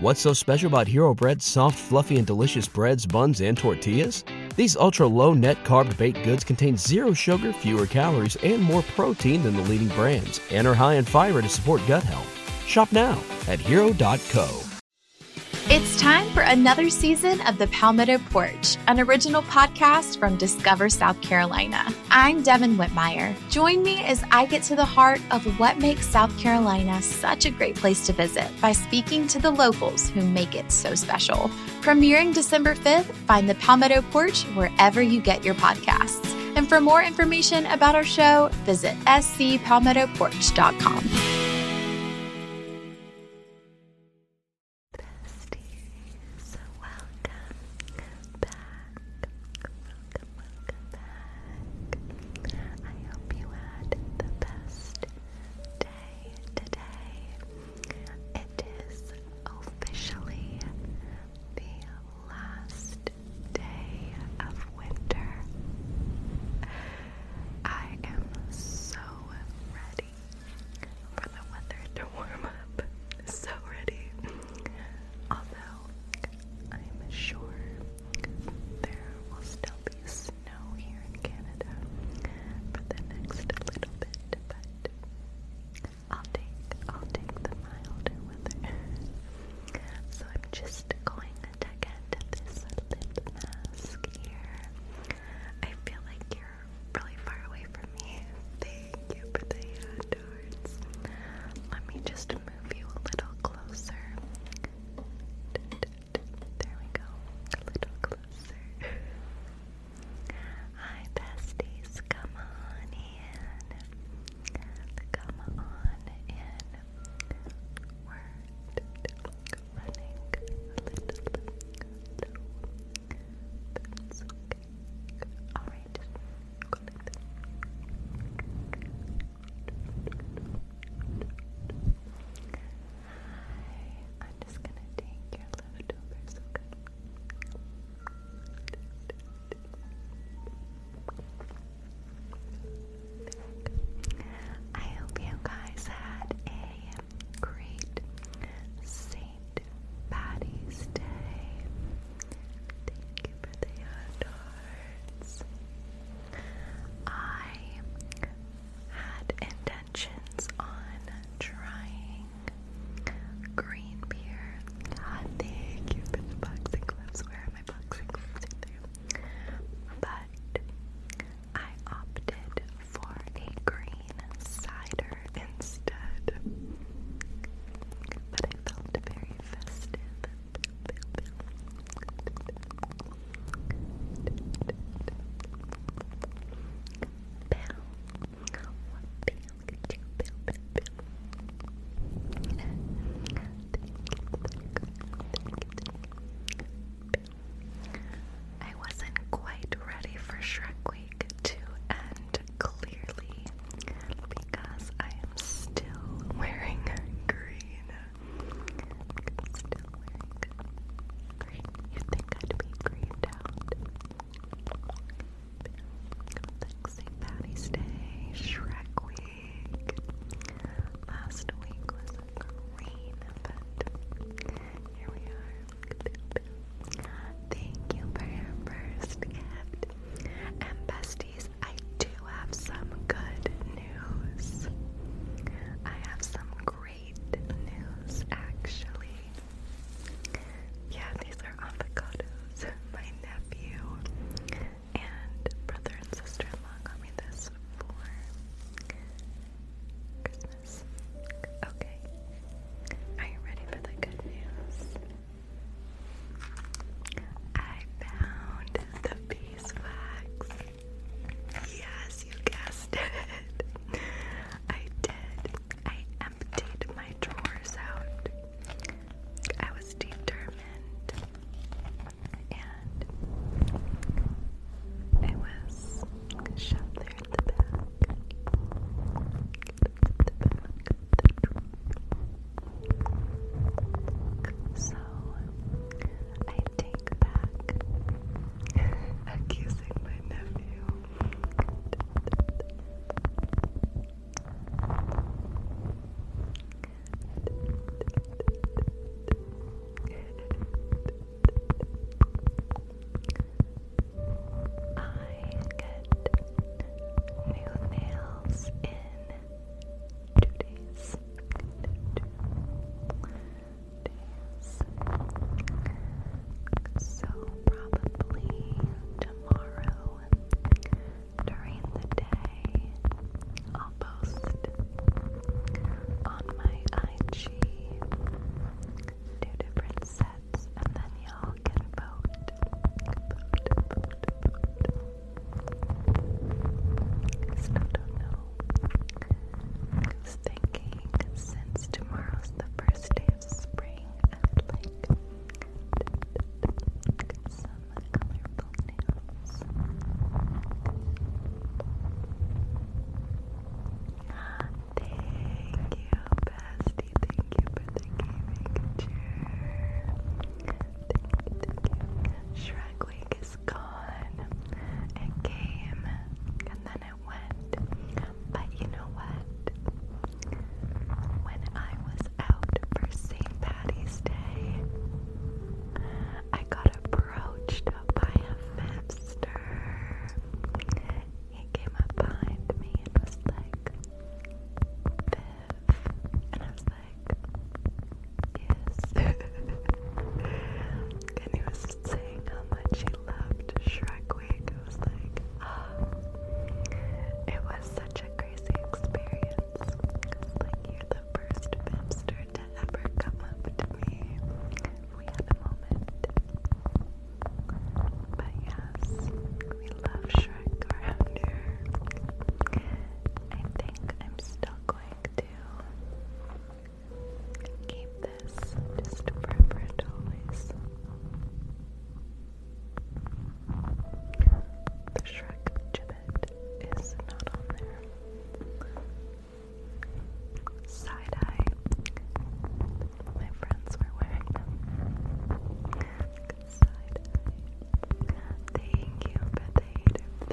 What's so special about Hero Bread's soft, fluffy, and delicious breads, buns, and tortillas? These ultra low net carb baked goods contain zero sugar, fewer calories, and more protein than the leading brands, and are high in fiber to support gut health. Shop now at hero.co. It's time for another season of The Palmetto Porch, an original podcast from Discover South Carolina. I'm Devin Whitmire. Join me as I get to the heart of what makes South Carolina such a great place to visit by speaking to the locals who make it so special. Premiering December 5th, find the Palmetto Porch wherever you get your podcasts. And for more information about our show, visit scpalmettoporch.com. Besties, welcome back welcome, back. I hope you had the best day today. It is officially the last day of winter. I am so ready for the weather to warm up. So ready. Although I'm sure there will still be snow here in Canada for the next little bit, I'll take I'll take the milder weather. so I'm just going to get this lip mask here. I feel like you're really far away from me. Thank you for the hand Let me just move you a little closer. There we go. A little closer. Hi, besties. Come on in. Come on in. we Alright. I'm just gonna take your leftovers, okay? I hope you guys had a great Saint Patty's Day. Thank you for the hot I had intentions on trying green beer. God, ah, thank you boxing gloves. Where are my boxing gloves? but I opted for a green cider instead. But I felt very festive, I wasn't quite ready for Shrek Week to end clearly because I am still wearing green you think I'd be greened out? Thanks, St. Patty's Shrek Week. Last week was green, but here we are. Thank you for your first gift. And besties, I do have some good news. I have some great news actually. Yeah, these are avocados. My nephew and brother and sister in law got me this for Christmas. Okay. Are you ready for the good news? I found the beeswax. Yes, you guessed it. I did. I emptied my drawers out. I was determined. And I was shoved there at the back. I take back accusing my nephew. I get new nails in two days, So probably tomorrow during the day, I'll post on my IG two different sets, and then y'all can vote. I don't know. I was thinking since tomorrow's the first day of spring, I would like some colorful nails. Thank you, Bestie. Thank you for the gaming chair. Thank you, thank you. Shrek is it came and then it went. But you know what? When I was out for St. Patty's Day, I got approached by a fifster. He came up behind me and was like, Viv. And I was like, Yes. and he was saying how much he loved Shrek Week. I was like, oh, It was such a crazy experience. like, you're the first Bimster to ever come up to me. We had a moment. But yes, we love Shrek around here. I think I'm still going to Keep this just preferred always. The Shrek gibbet is not on there. Side eye. My friends were wearing them. Side eye. Thank you for the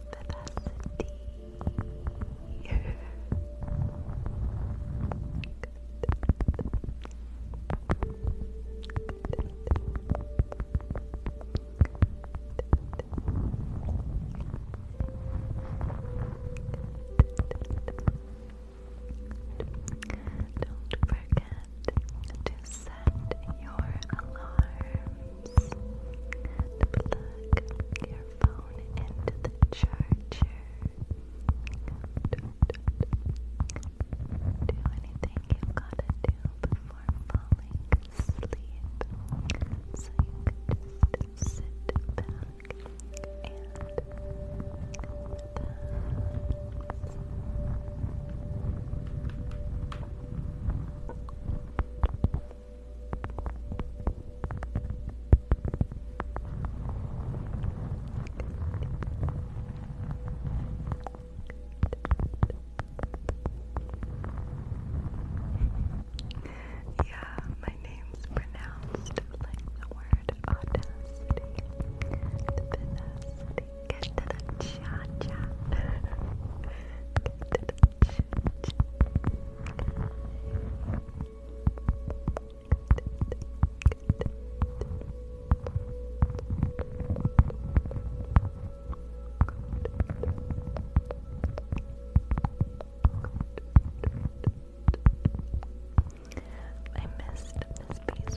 vivacity. Don't forget to set your alarm and your phone into the charger. Do anything you've got to do before falling asleep. So you can just sit back and yeah, my name's pronounced like the word audacity. Tenacity. Get to the cha cha. Get to the I missed Miss Beeswax.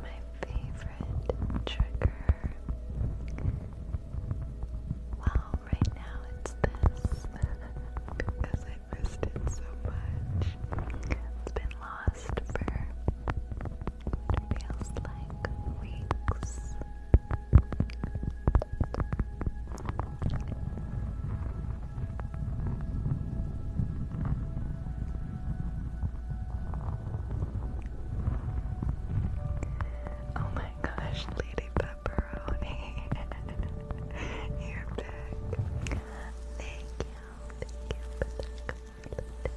My favorite trigger. Wow, right now it's this because I missed it so much. It's been lost for feels like weeks. Oh my gosh, Lady Pepperoni. You're back. Thank you. Thank you Thank you.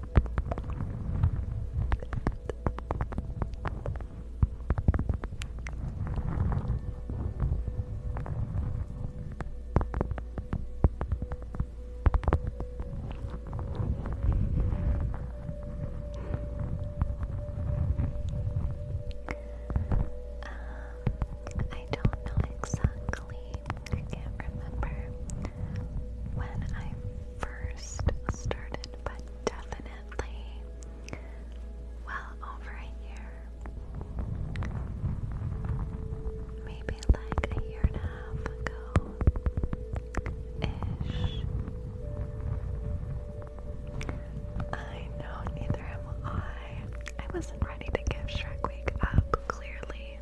Um, I don't know exactly. I can't remember when I first started, but definitely well over a year. Maybe like a year and a half ago ish. I know, neither am I. I wasn't ready to give Shrek Week up, clearly.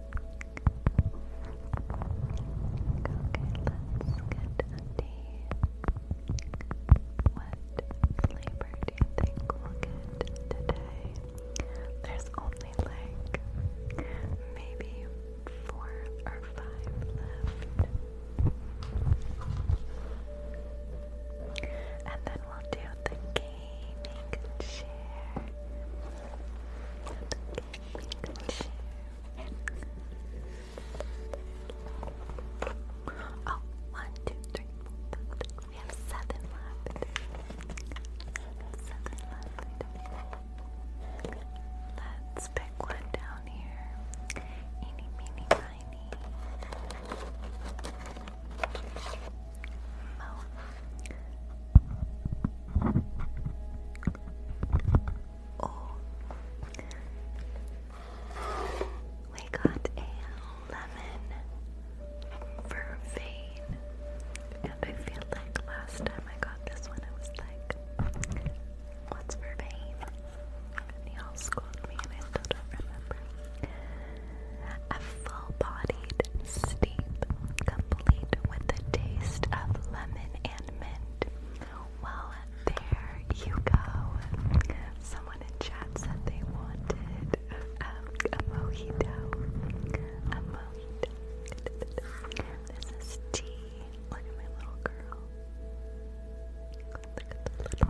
What flavor do you think we'll get today? There's only like maybe four or five left. And then we'll do the gaming chair. The Oh, one, two, three, four, five, six. We have seven left. Let's pick one down here. Eeny, meeny, miny. Oh. We got a lemon vervain. And I feel like last time I got this one, I was like, what's vervain? And y'all me and I still don't remember. A full-bodied steep, complete with the taste of lemon and mint. Well, there you go. Someone in chat said they wanted a mojito. A mojito. This is tea. Look at my little girl. Look at the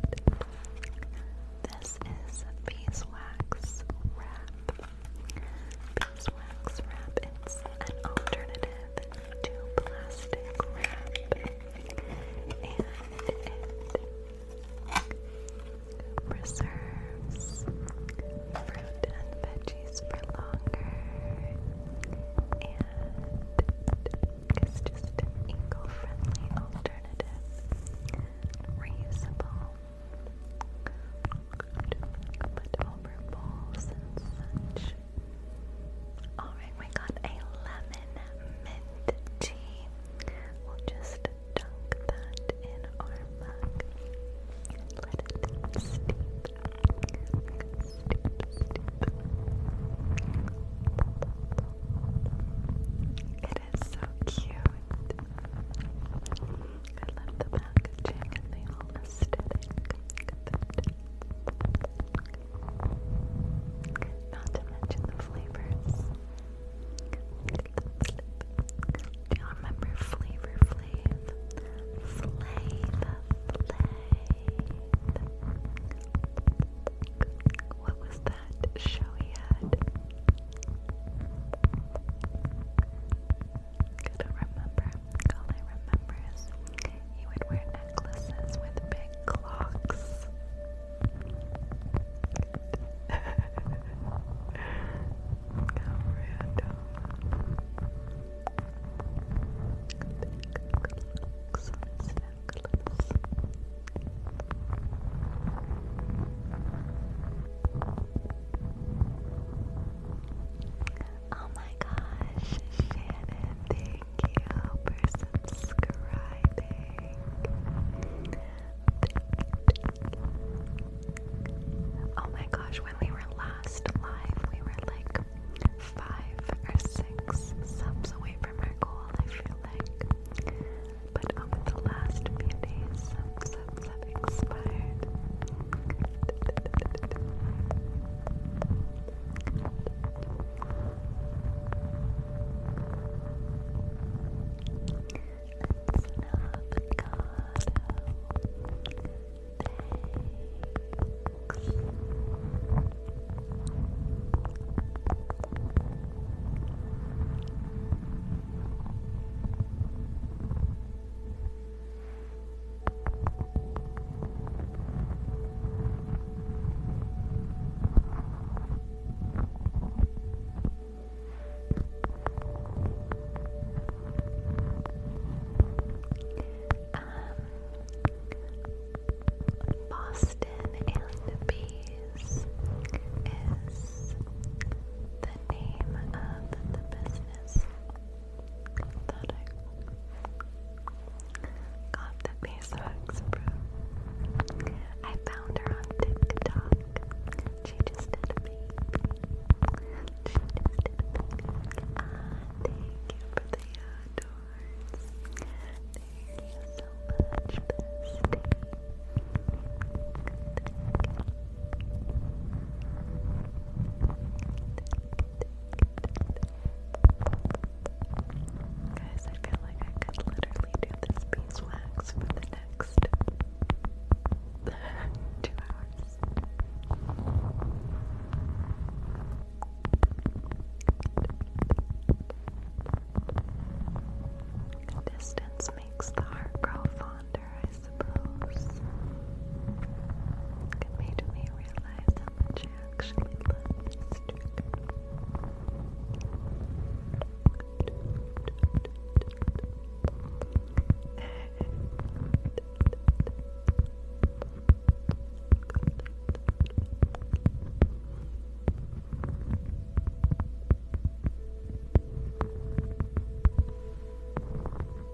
little girl. This is beeswax wrap beeswax wrap. It's an alternative to plastic wrap, and it preserves fruit and veggies for longer, and it's just an eco-friendly alternative, reusable over balls Alright, we got a lemon mint tea. We'll just dunk that in our mug and let it steep. It is so cute. I love the packaging and the whole aesthetic. Not to mention the flavors. y'all remember Flavor Flav? Flav, Flav. What was that show he had? couldn't remember. All I remember he would wear necklaces with big clocks. How random. Big clocks on his Oh my gosh, Shannon, thank you for subscribing. Oh my gosh, when we were last live, we were like five or six subs away from our goal, I feel like. But over the last few days, love, love expired. Thanks. Um, Boston and Bees is the name of the business got the beeswax from. I found her on TikTok. She just did a She just did a ah, thank you for the adores. Thank you so much, bestie. Thank Thank you. Guys, I feel like I could literally do this beeswax for the next two hours. Distance makes the heart grow fonder later, I It made me realize how much I actually love this trigger.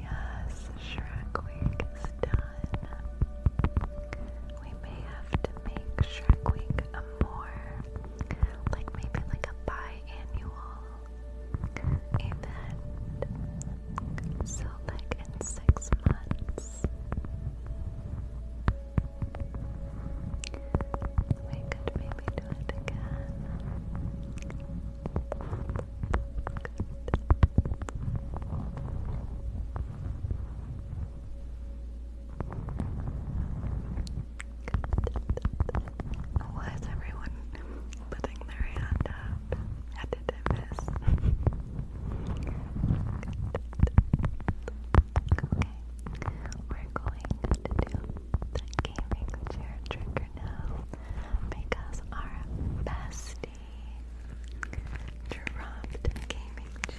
Yes, Shrek Week is done. We may have to make Shrek Week a more like maybe like a biannual event. So like in six months we could maybe do it again. Why is everyone putting their hand up? okay, we're going to do the gaming chair trigger now because our bestie dropped gaming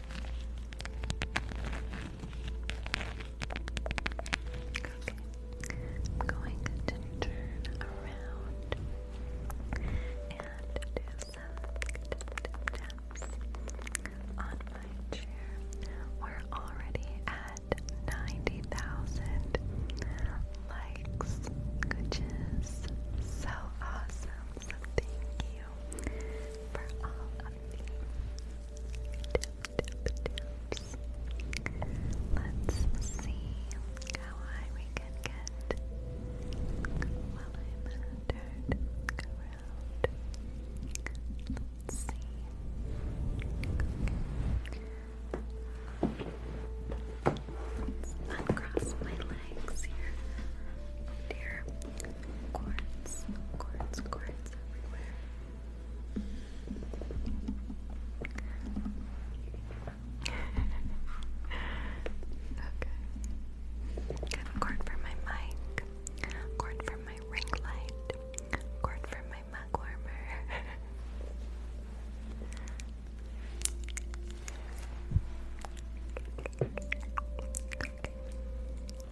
Okay, I'm going to turn around and do some tap taps on my chair. We're already at 90,000 likes, which is so awesome. So thank you for all tip, tips. Let's see how high we can get while I'm turned Let's see. Let's uncross my legs here. Dear. Quartz, quartz, quartz everywhere. okay. Cord for my mic. Cord for my ring light. Cord for my mug warmer.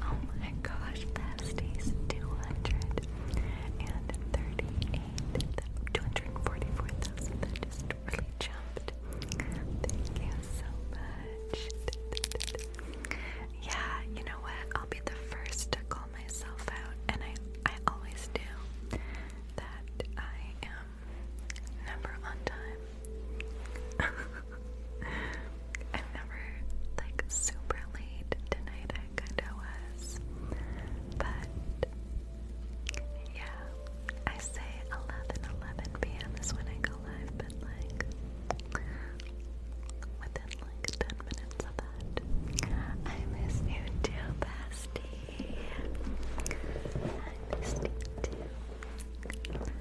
Oh my gosh, that stays 238, 244,000. That just really jumped. Thank you so much. Yeah, you know what? I'll be the first to call myself out, and I, I always do, that I am never on time. i never like super late. Tonight I kinda was. But yeah, I say 11 11 p.m. is when I go live, but like within like 10 minutes of that. I miss you too, bestie. I miss you too. Good.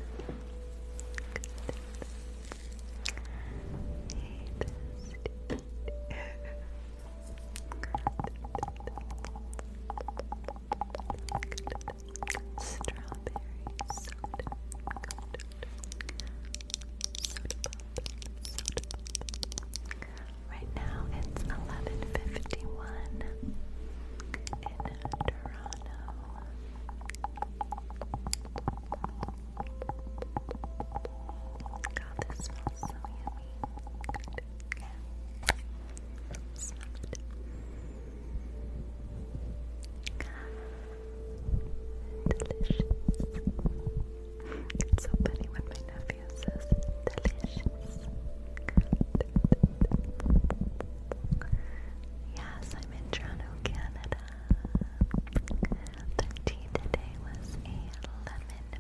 Hey, bestie. Strawberry soda pop, Right now it's 11:51 in Toronto. God, this smells so yummy. Delicious. It's so funny when my nephew says delicious. Yes, I'm in Toronto, Canada. The today was a lemon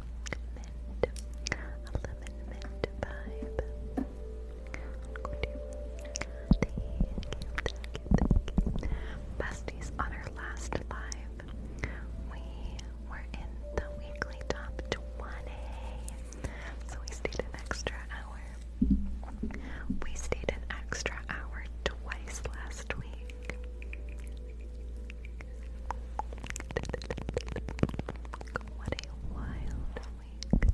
mint. A lemon mint vibe. Thank you, Besties on our last live we were in the weekly top 20. So we stayed an extra hour. We stayed an extra hour twice last week. What a wild week.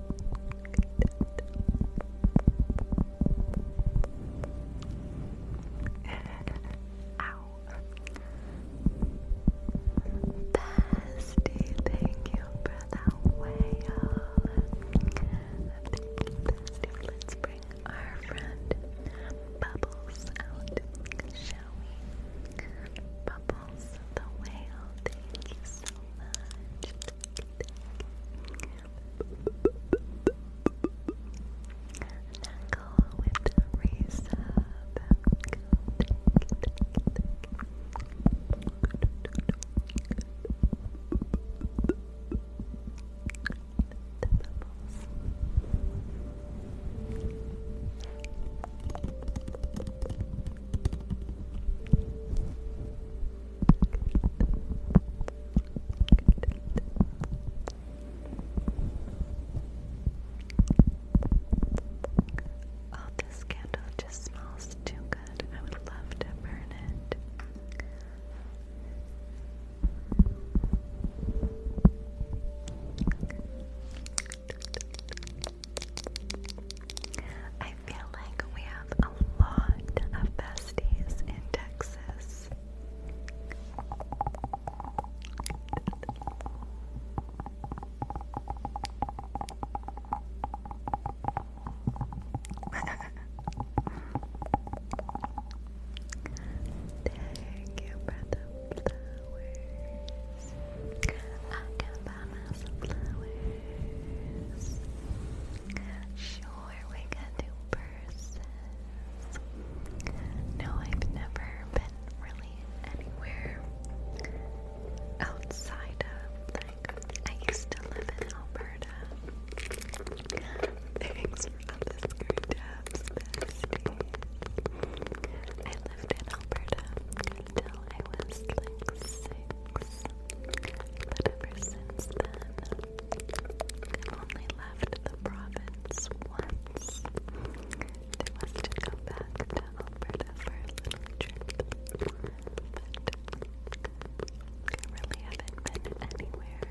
Bestie, thank you for whale. let's bring our friend Bubbles out, shall we? Bubbles the whale, thank you so much. go with the Oh, this candle just smells too good. I would love to burn it feel like we have a lot of besties in Texas. Thank you for Sure, we can do purses. No, I've never been really anywhere outside of, like, I used to live in Alberta. Thanks for all the I lived in Alberta until I was like six us. But ever since then, I've only left the province once. It was to go back to for a little trip. But I really have been anywhere.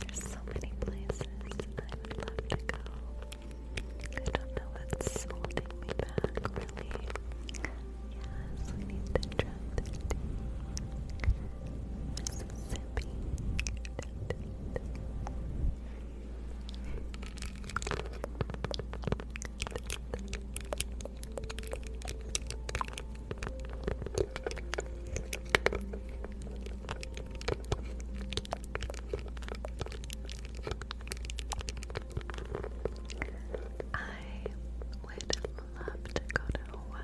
there's so many places I would love to go. I don't know what's holding me back, really. Yes, we need to drop Mississippi. I would love to go to Hawaii.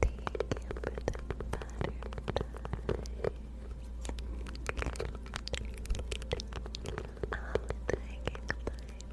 Thank you for the butterflies. All the hiking vines.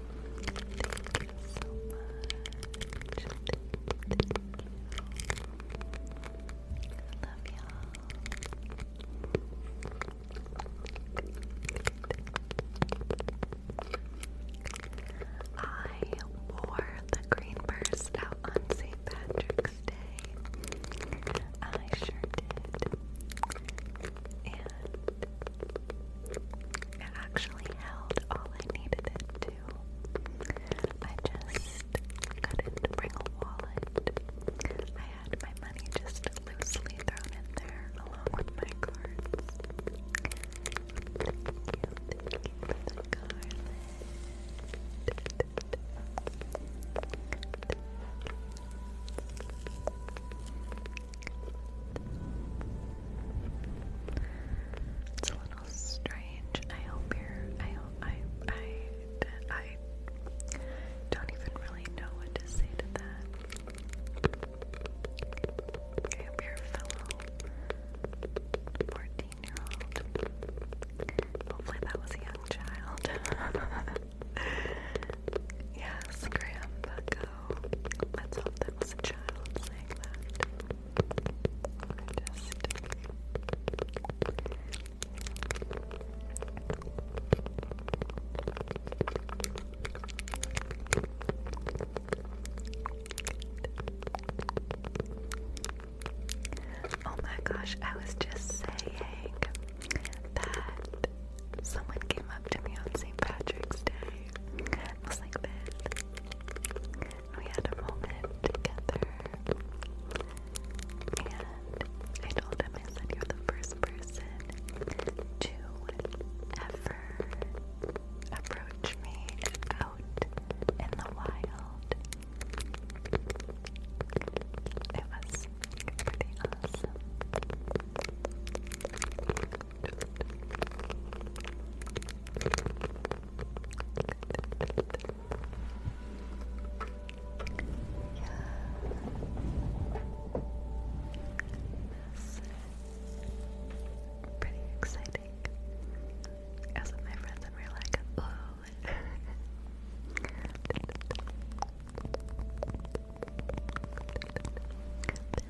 Thank you so much. love y'all. I wore the green burst out on St. Patrick's Day. I sure did and it actually held all I needed it to. I just couldn't bring a wallet. I had my money just loosely thrown in there along with my cards. Thank you, it's a little strange. I hope you're. I hope I. I. I don't even really know what to say to that. I hope your fellow 14 year old. Hopefully, that was a young child. yes, Graham let's hope that was a child saying Oh my gosh, I was just saying that someone came up to me on St. Patrick's Day Looks like that. We had a moment together. And I told him, I said, You're the first person to ever approach me out in the wild. It was pretty awesome. Yes. Pretty exciting. As my friends, and we're like, oh.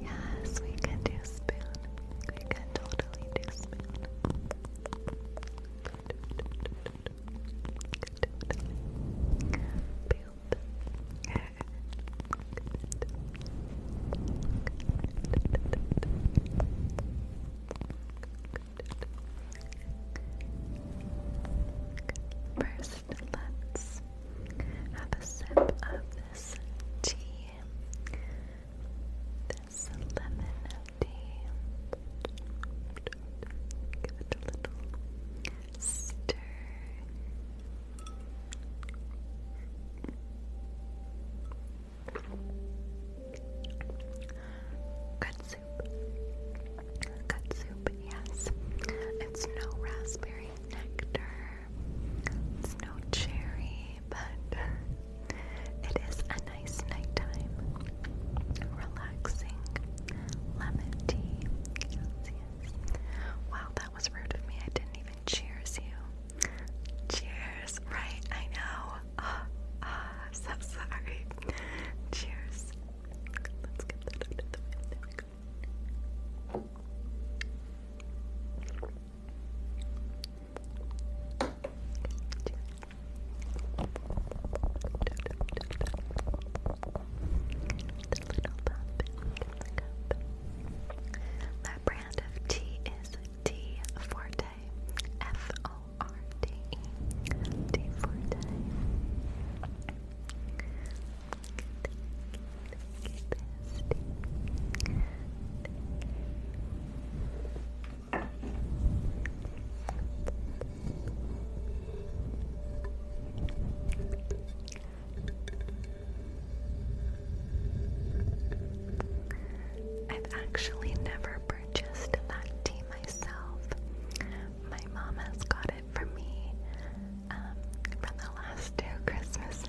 Yes, we can do spoon. We can totally do spoon. First, let's have a sip of this tea, this lemon Give it a little stir. Good soup. Good soup, yes. It's no raspberry nectar. It's no cherry, but it is a nice nighttime, relaxing lemon tea. Wow, that was rude of me. I didn't even cheers you. Cheers, right? I know. Ah, ah so sorry. Cheers. That brand of tea is Tea Forte. F O R T E. Tea Forte. I've actually never purchased that tea myself. My mom has got it for me um, from the last two Christmases.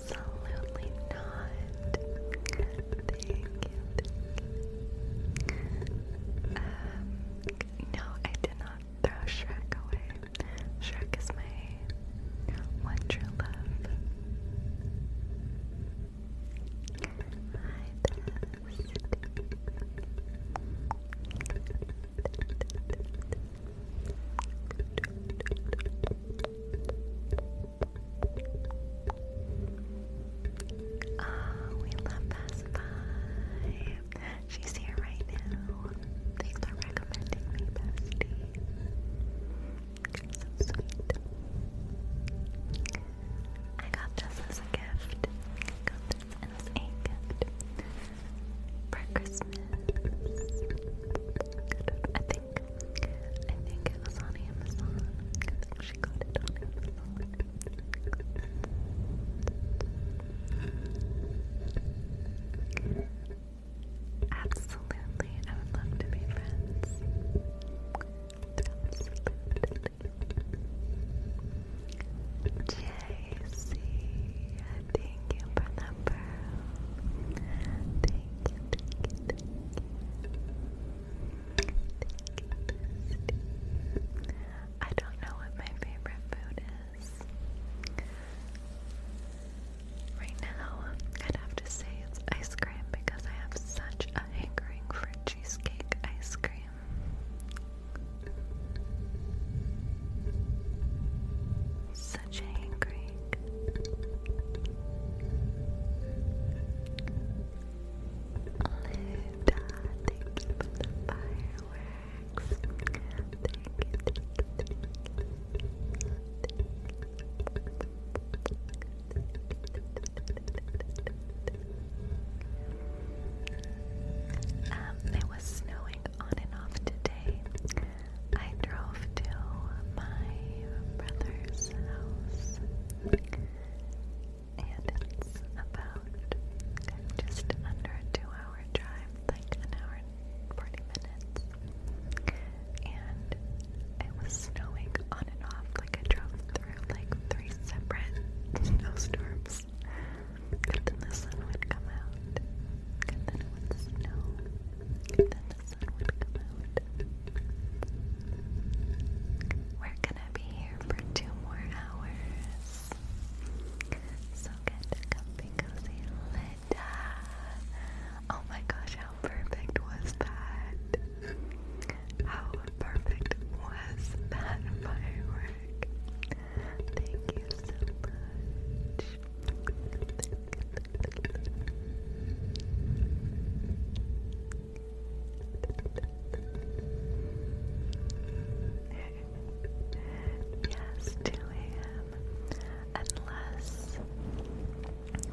Absolutely not. Thank you. Um, no, I did not throw Shrek away. Shrek is my one true love. Oh, we love Pacify. She's here right now. Thanks for recommending me, Bestie. So sweet. I got this as a gift. I got this as a gift for Christmas is. I think. I think it was on Amazon. I think she got it on Amazon. Absolutely, I would love to be friends. Absolutely. JC, I don't know what my favorite food is. Right now, I'd have to say it's ice cream because I have such a hankering for cheesecake ice cream thank you um, it was snowing on and off today. I drove to my brother's house, and it's about just under a two hour drive, like an hour and 40 minutes. And it was snowing on and off, like I drove through like three separate snowstorms. And then the sun would come out, and then it would snow, and then the we're gonna be here for two more hours. So get comfy, cozy, lit up. Oh my gosh, how perfect was that? How perfect was that firework? Thank you so much yes, 2 a.m. Unless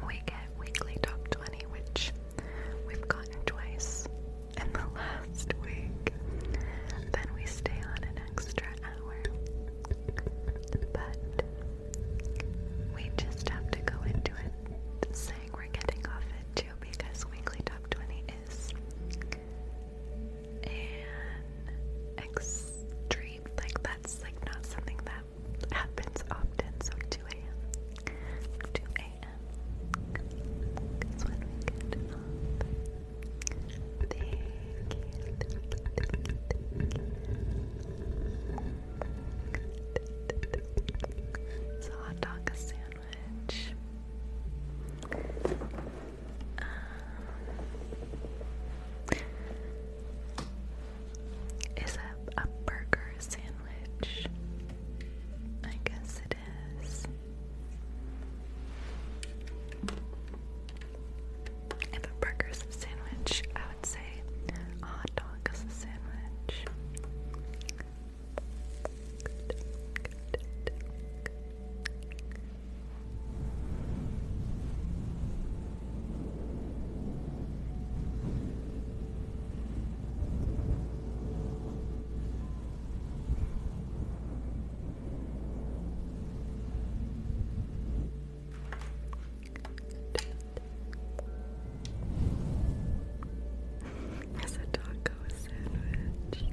we get weekly top 20, which we've gotten twice in the last week, then we stay on an extra hour. But we just have to go into it saying we're getting off it too because weekly top 20 is extreme, like that's like not something that happens often. So 2 a.m. 2 a.m. Thank you. It's a hot dog a sandwich. Um, is a a sandwich? I guess it is. If a burger's a sandwich, I would say a hot dog is a sandwich. It's a taco sandwich. Good.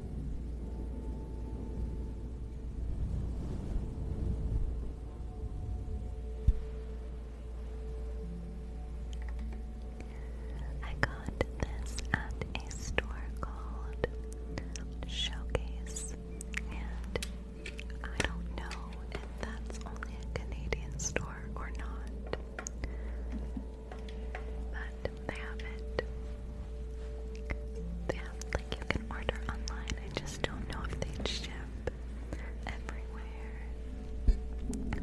I got this at a store called Showcase, and I don't know if that's only a Canadian store or not. But they have it. They have, like, you can order online. I just don't know if they ship everywhere.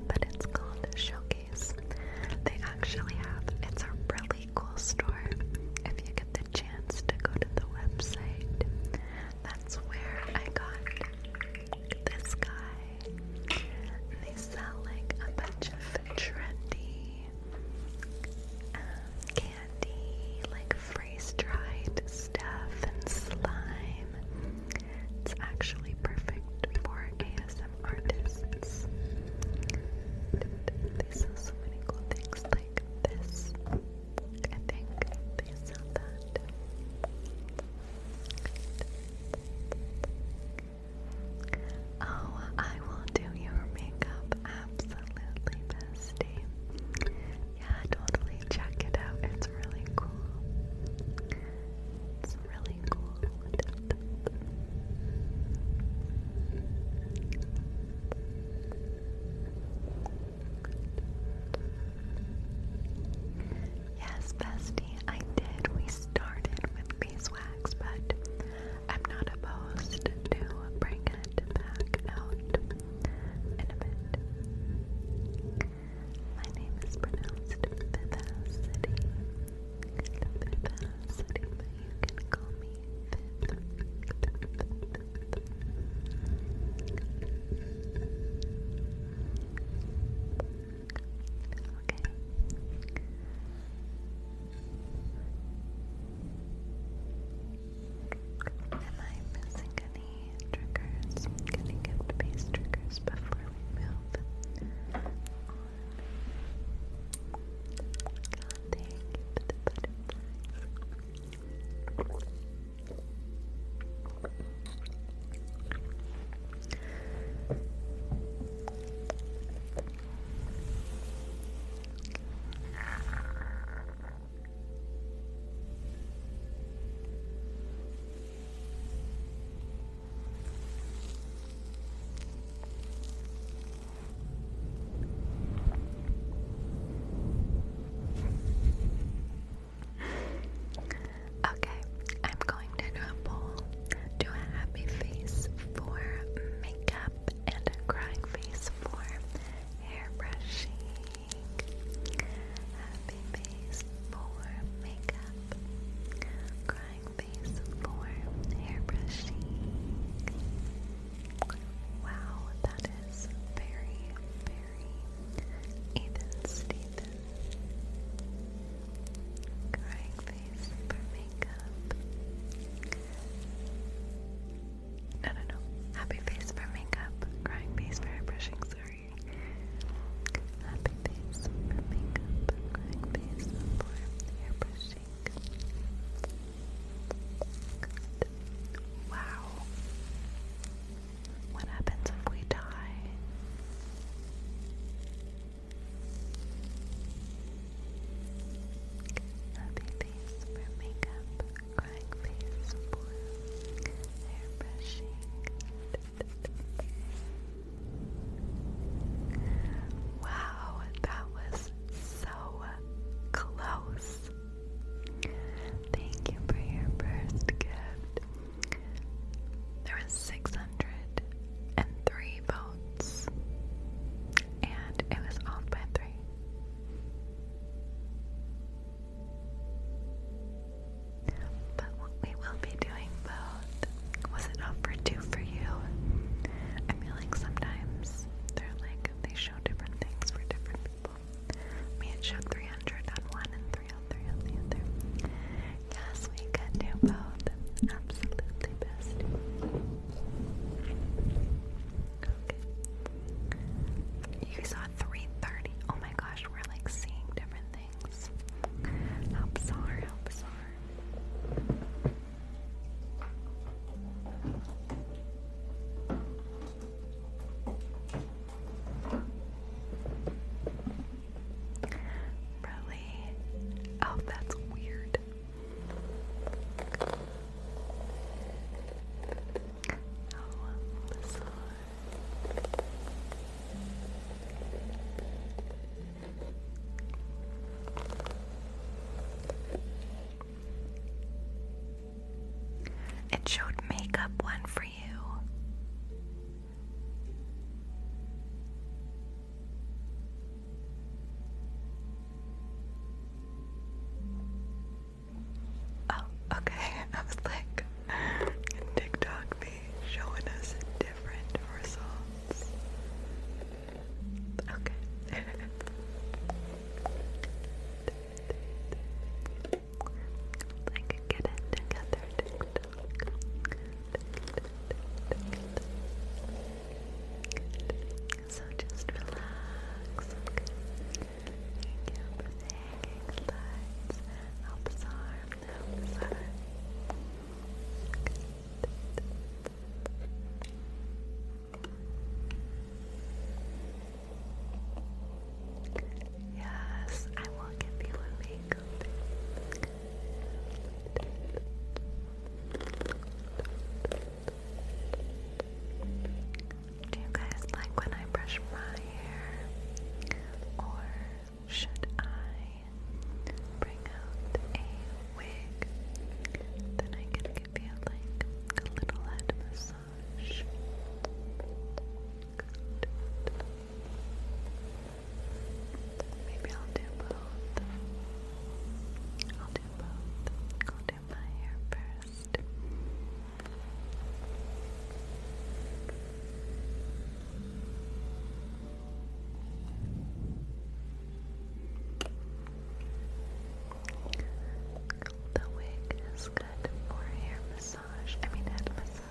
But it's called Showcase. They actually have, it's a really cool store. If you get the chance to go to the website, that's where I got this guy. they sell like a bunch of trendy um, candy, like freeze dried stuff and slime. It's actually perfect for ASM artists. They sell so many cool things like this. I think they sell that. Oh, I will do your makeup absolutely, bestie. Yeah, totally check it out. It's really cool. It's really cool. Yes, bestie, I did. We started with beeswax, but I'm not opposed to bring it back out in a bit. My name is pronounced Vivacity. Vivacity, you can call me Viv. Okay. Am I missing any triggers? Can you give triggers before we move God, thank you Okay, I'm going to do a poll. Do a happy face for makeup and a crying face for hairbrushing. Happy face for makeup. Crying face for hairbrushing. Wow, that is very, very even Stephen. Crying no, no, no. Happy face for makeup. Crying face for brushing, sorry. Happy face for makeup. Crying face for hair Wow. What happens if we die? Happy face for makeup, crying face for hair Wow, that was so close. Thank you for your first gift. There 603 votes and it was off by three. But we will be doing both was it off for two for you? I feel like sometimes they're like they show different things for different people. I mean, showed 300 on one and 303 on the other. Yes, we could do both. Absolutely best. You saw 330. Oh my gosh, we're like seeing different things. How bizarre, how bizarre. Really? Oh, that's weird. It showed makeup one for you. Oh, okay. I was like, TikTok be showing us different results. Okay. like, get it together, so just relax, okay? Thank you the hanging lights. Help us arm, Yes, I will give you a makeup. Do you guys like when I brush my hair? Or should I bring out a wig? Then I can give you like a little head massage. Maybe I'll do both do both. I'll do my hair first. The wig is good for hair massage. I mean head massage.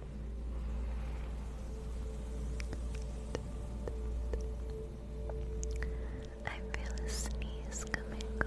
I feel a sneeze coming on.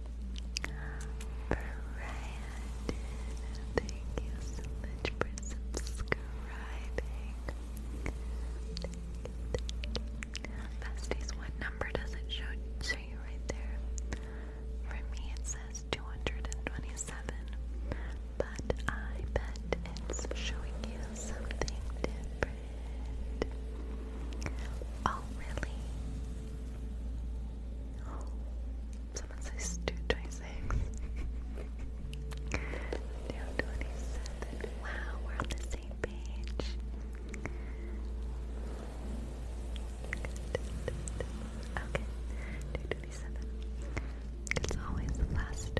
Brandon, thank you so much for subscribing. Besties, what number does it show you right there? For me it says 227, but I bet it's showing you something different. Oh, really? Someone says 226. 227. Wow, we're on the same page. Okay, 227. It's always the last.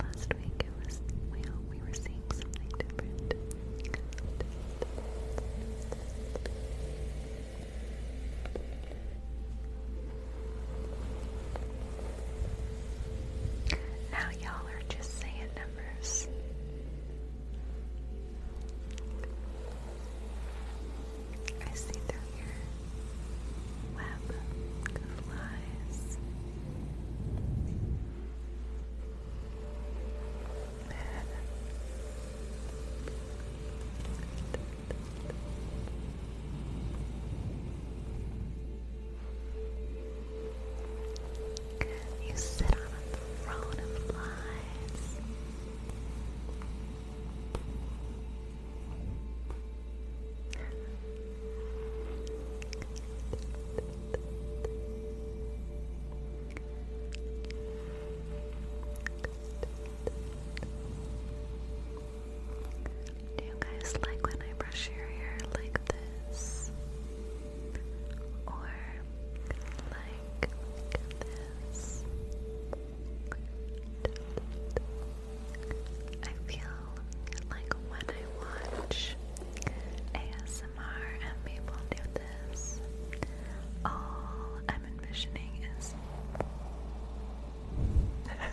Last week it was we we were seeing something different. Now, y'all are just saying numbers. I see through your web of lies. You sit on a throne of flies. Do you guys like when I brush your hair like this? Or like this? I feel like when I watch ASMR and people do this, all I'm envisioning is Good. I'll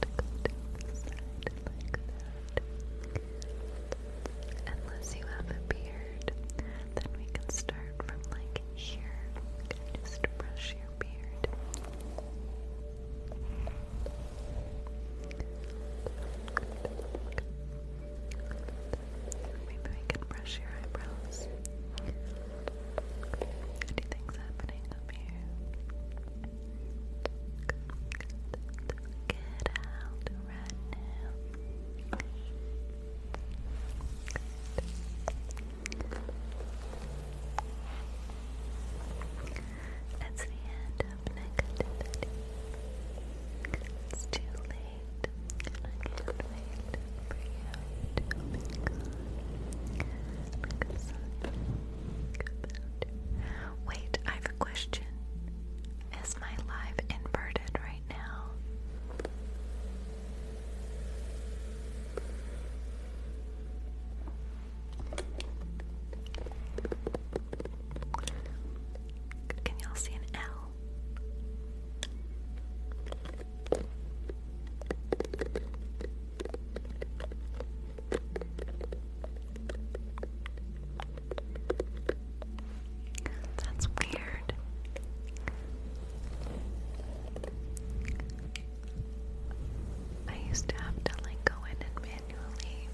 just go down the side. Unless you have a beard, then we can start from like here. Okay, just brush your beard. Maybe we can brush your eyebrows. Anything's happening up here. Get out right That's the end of negativity. It's too late, I can't wait for you to be gone. Like a sign. Wait, I have a question. Is my live inverted right now? Can y'all see an L? That's weird. I used to have to like go in and manually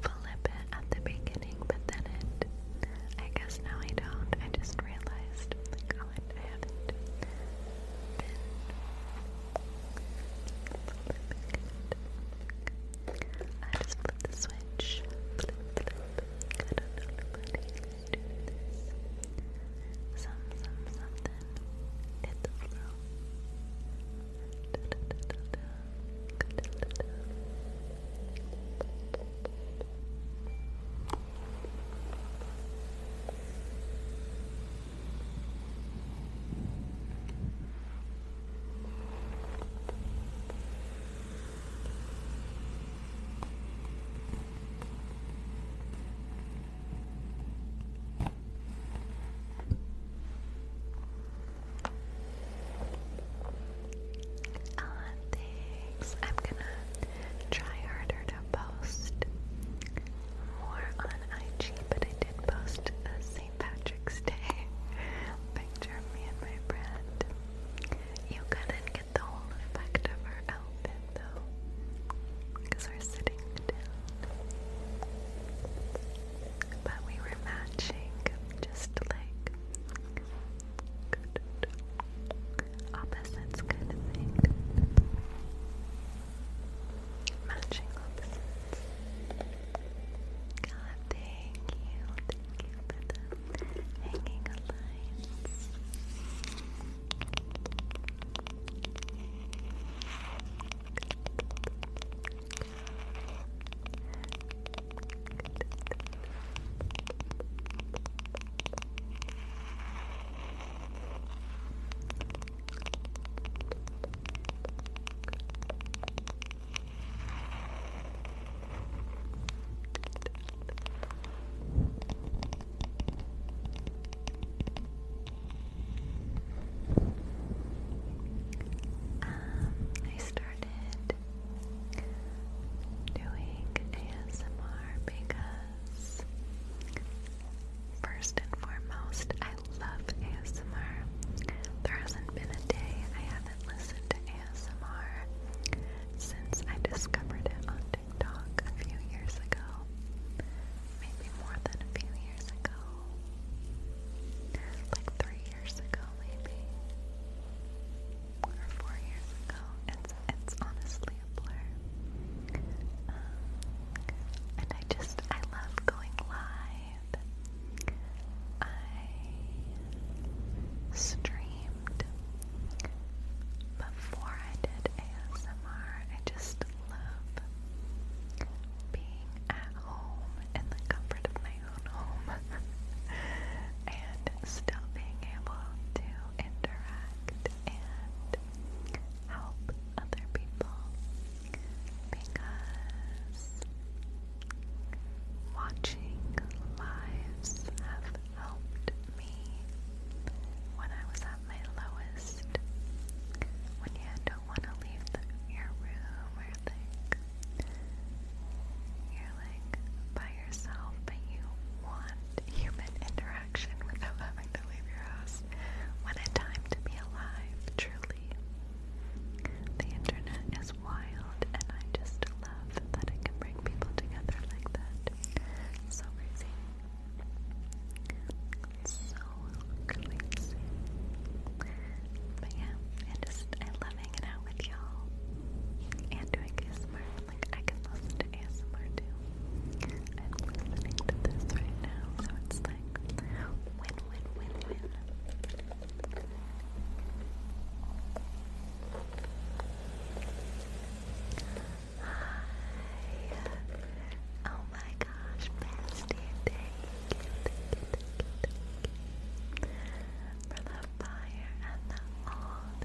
flip it at the beginning, but then it I guess now I don't. I just realized oh I just flip the switch. Some, some, something. Hit the flow. Uh, thanks. I'm gonna try harder to post more on IG, but I did post this St. Patrick's Day picture me and my friend. You couldn't get the whole effect of her outfit though, we're sitting down. But we were matching, just like opposites kind of thing. Matching opposites. God, thank you. Thank you for the hanging lights. Um, I started doing ASMR because first and foremost I love ASMR. There hasn't been a day I i haven't listened to ASMR since I discovered it on TikTok a few years ago. Maybe more than a few years ago. Like three years ago, maybe. Or four years ago. It's, it's honestly a blur. Um, and I just, I love going live I streamed before I did ASMR. I just love being at home in the comfort of my own home and still being able to interact and help other people because Watching lives have helped me when I was at my lowest. When you don't want to leave your room or like you're like by yourself, but you want human interaction without having to leave your house. What a time to be alive, truly. The internet is is wild, and I just love that it can bring people together like that. So crazy. So crazy. But yeah, I just, I love hanging out with y'all. And doing ASMR, like I can listen to ASMR too. i listening to this right now, so it's like win, win, win, win. Oh my gosh, bestie, thank you, For the fire and the old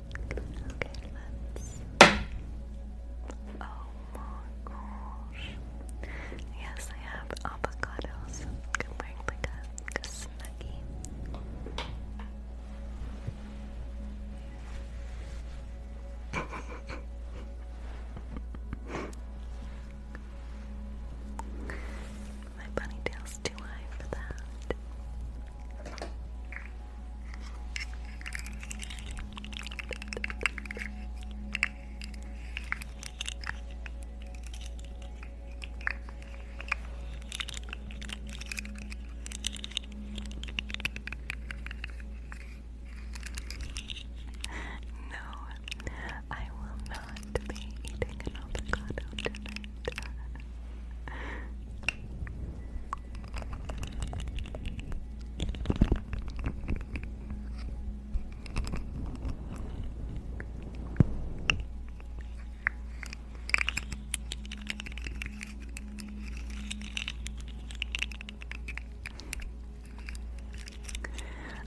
Okay, let Oh my gosh. Yes, I have avocados. I'm wearing like a, like a My bunny tail's too high for that. No, I will not be eating an avocado tonight.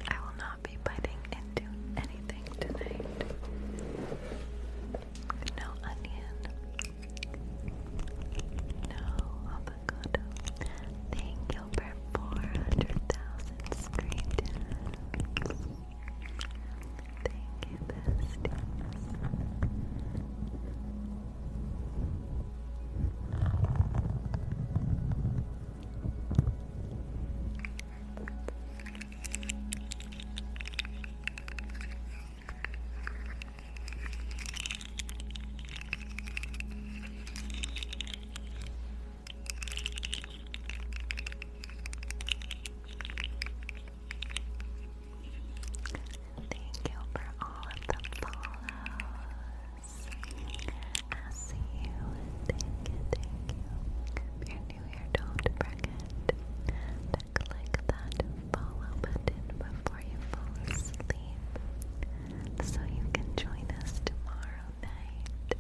I will not be biting into anything tonight. No onion, no avocado. Thank you for 400,000 screen Thank you, besties. Thank Thank you for all of the follows. I see you. Thank you, thank you. If you're new here, don't forget to click that follow button before you fall asleep so you can join us tomorrow night.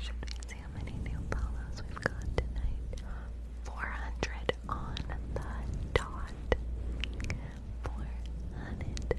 Should we see how many new follows we've got tonight? 400 on the dot. 400.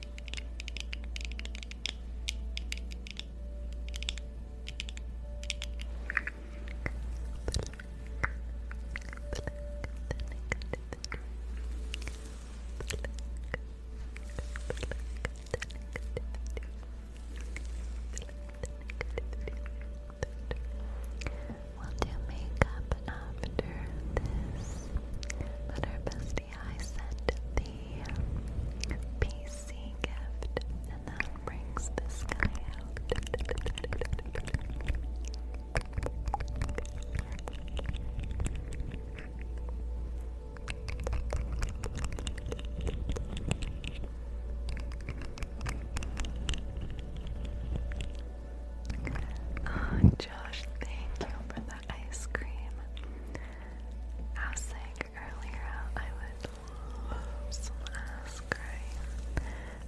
We'll do makeup after this, but our bestie I sent the PC gift, and that brings this guy out. Oh, Josh, thank you for the ice cream. I was like earlier, I would love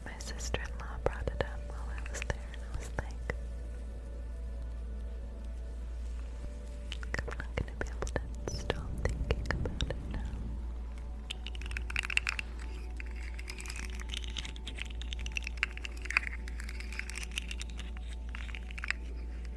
My sister-in-law brought it up while I was there, and I was like, I'm not gonna be able to stop thinking about it now.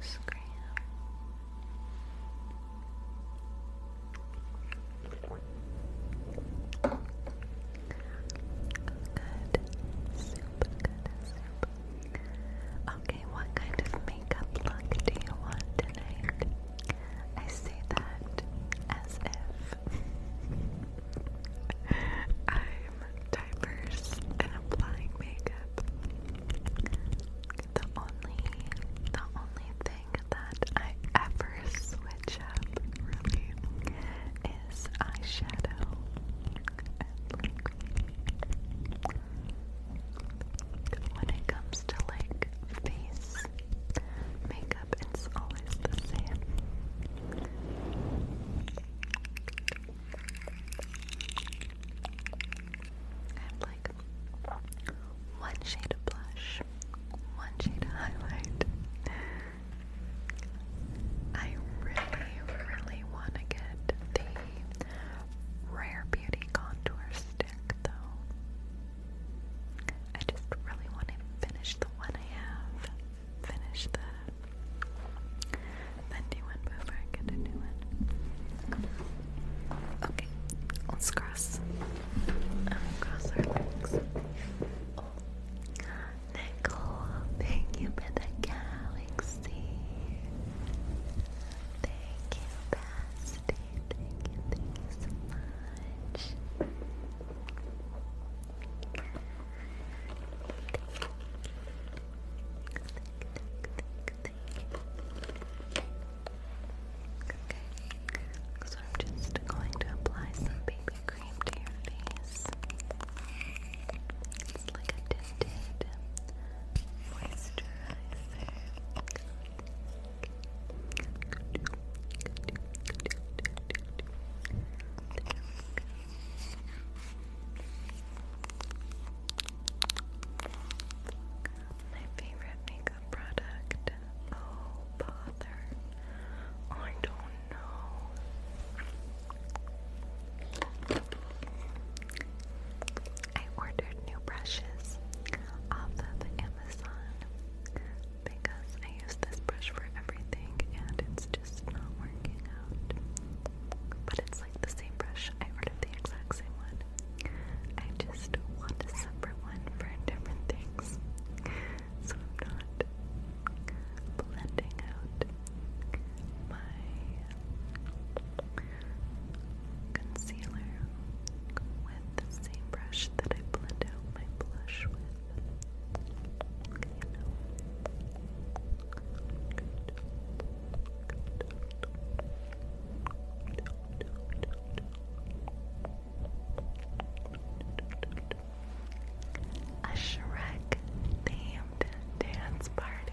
Scram. Super good. Super. Okay, what kind of makeup look do you want tonight? I say that as if I diapers, and applying makeup. The only, the only thing that I ever switch up really is eyeshadow when it comes to like face makeup, it's always the same. I have like one shade of blush, one shade of highlight. I really, really want to get the Rare Beauty Contour Stick though. I just really want to finish the one I have finish that. Then one before I get a new one. Okay, let's cross. Um, cross our legs. thank you for the galaxy. Thank you, Basti. thank you so much. Okay, so I'm just going to apply some baby cream to your face. It's like a tinted moisturizer. My favorite makeup product. Oh, bother. I don't know. I ordered new brushes off of Amazon because I use this brush for everything and it's just not working out. But it's like the same brush. I ordered the exact same one. I just want a separate one for different things. So I'm not blending out my concealer with the same brush that I blend out my blush with. A Shrek themed dance party.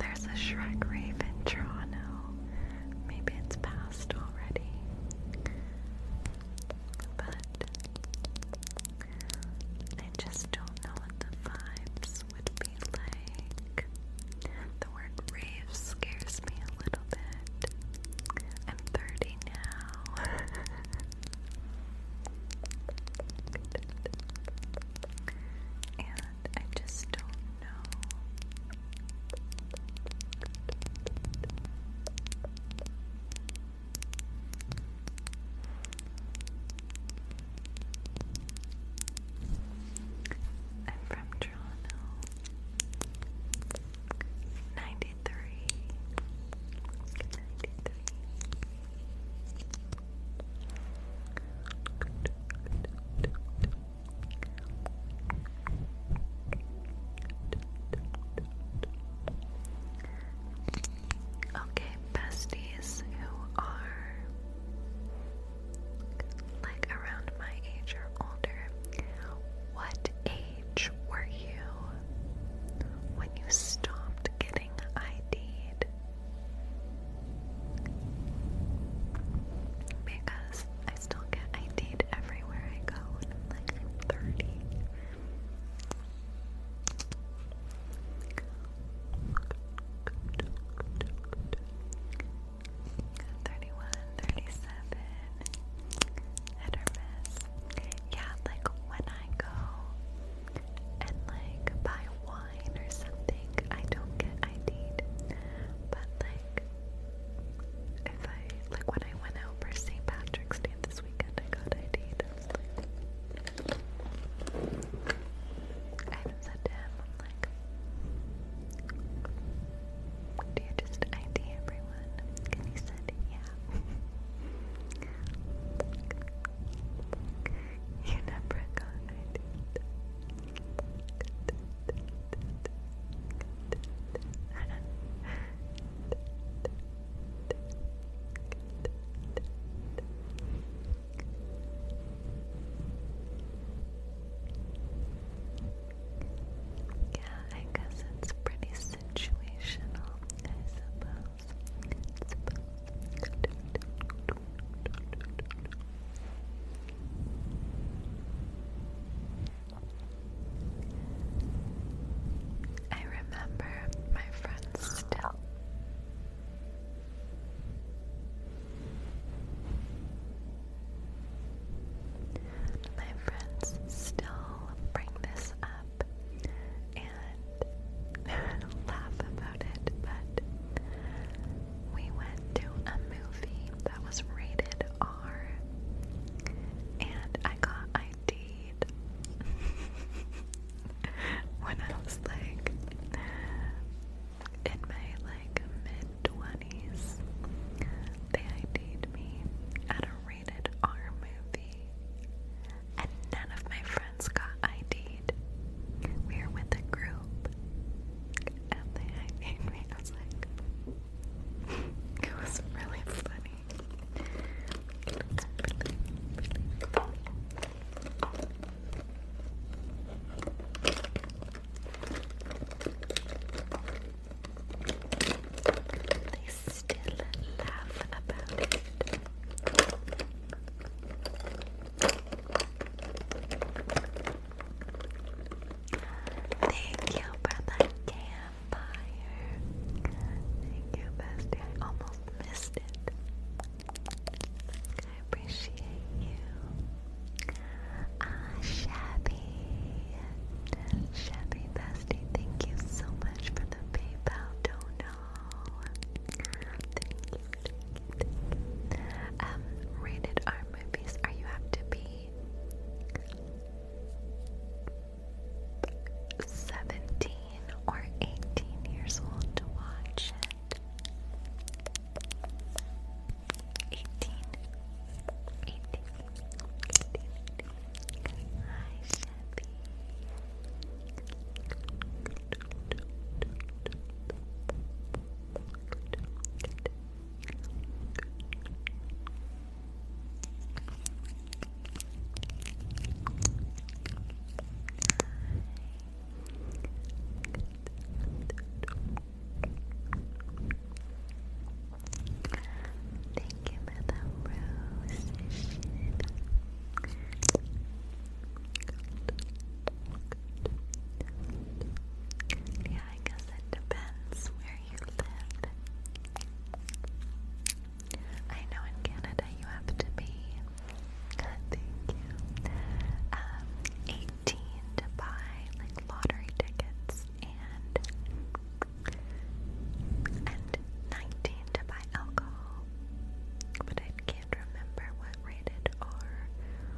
There's a Shrek rave in Toronto. Maybe it's past already. But I just don't know what the vibes would be like. The word rave scares me a little bit. I'm 30 now. and I just don't know. I'm from Toronto. 93. 93. Okay, besties who are like around my age or older, what age were you when you stopped getting id Because I still get id everywhere I go and I'm like, 30. Thirty-one, thirty-seven, hit Yeah, like when I go and like buy wine or something, I don't get id But like like if I like when I went out for St. Patrick's Day this weekend, I got id I said to him, I'm like, do you just ID everyone? And he said, yeah. you never got id yeah, I guess it's pretty situational, I suppose. I remember my friends still. My friends still bring this up and laugh about it, but we went to a movie that was rated R, and I got ID'd when I was like in my like mid twenties. They ID'd me at a rated R movie, and none of my friends got ID'd. We were with a group, and they id me. I was like, it was really funny. They still laugh about it. Thank you for the campfire. Thank you, bestie. I almost missed it. I appreciate you. Ah, Shabby. Shabby bestie, thank you so much for the PayPal dono. Thank you, um, rated R movies. Are you up 17 or 18 years old to watch 18. 18. 18. 18. Hi, Shabby. Thank you the rose. I guess it depends where you live. I know in Canada you have to be, thank you, um, 18 to buy like lottery tickets and, and 19 to buy alcohol. But I can't remember what rated R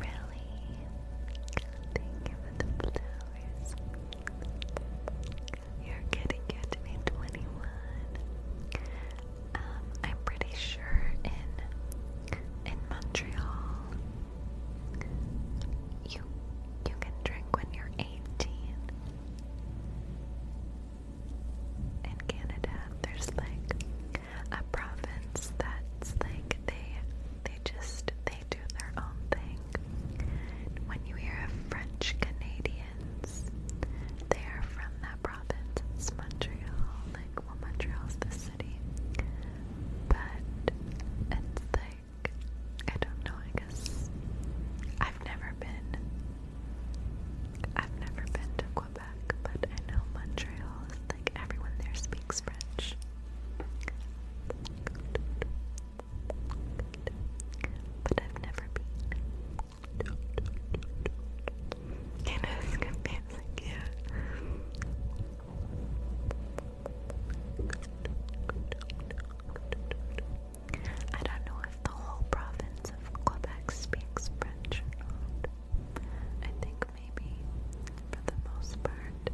Really? Thank you for the flowers. You're getting good to 21. I'm pretty sure in in Montreal you you can drink when you're 18 in Canada, there's like a province that's like they they just they do their own thing. When you hear of French Canadians, they are from that province. Montreal, like well Montreal's the city. But it's like I don't know, I guess I've never been I've never been to Quebec but I know Montreal is like everyone there speaks French. But I've never been. It is confusing, I don't know the whole province of Quebec speaks French I think maybe for the most part.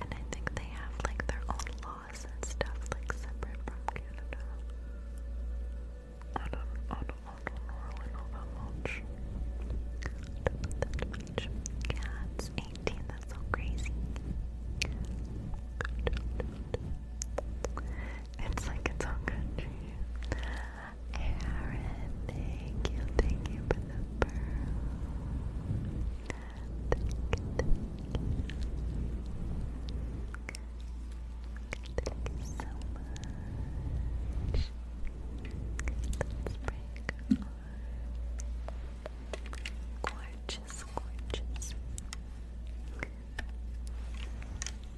And I think they have like their own laws and stuff like separate from Canada. I don't I don't, I don't really know that much. I 18, that's so crazy. It's like its own country. Aaron, thank you, thank you for the Thank you, so much. Let's Gorgeous, gorgeous.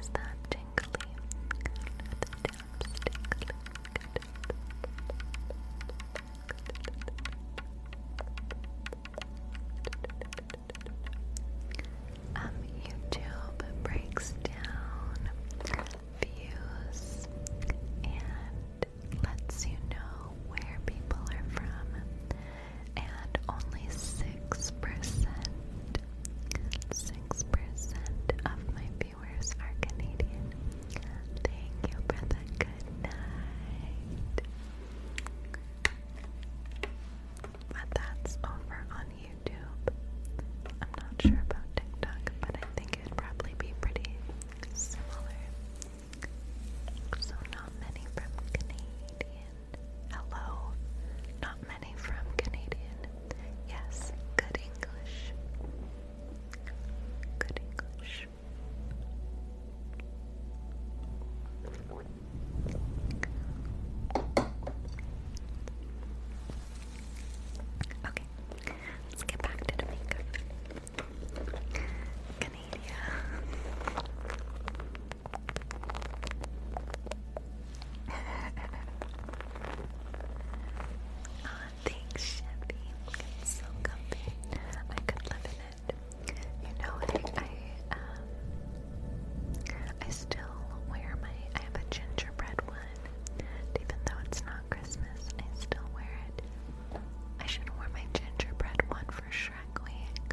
Is that tingly? Um, YouTube breaks down views and lets you know where people are from and only 6%, 6% of my viewers are Canadian. Thank you for the good night. But that's over on YouTube. I'm not sure about TikTok, but I think it'd probably be pretty similar. So not many from Canadian. Hello. Not many from Canadian. Yes, good English. Good English. Okay, let's get back to the makeup. Canada oh, thanks, Chevy. It's so comfy. I could live in it. You know, I, I um, I still wear my. I have a gingerbread one, even though it's not Christmas. I still wear it. I should wear my gingerbread one for Shrek Week.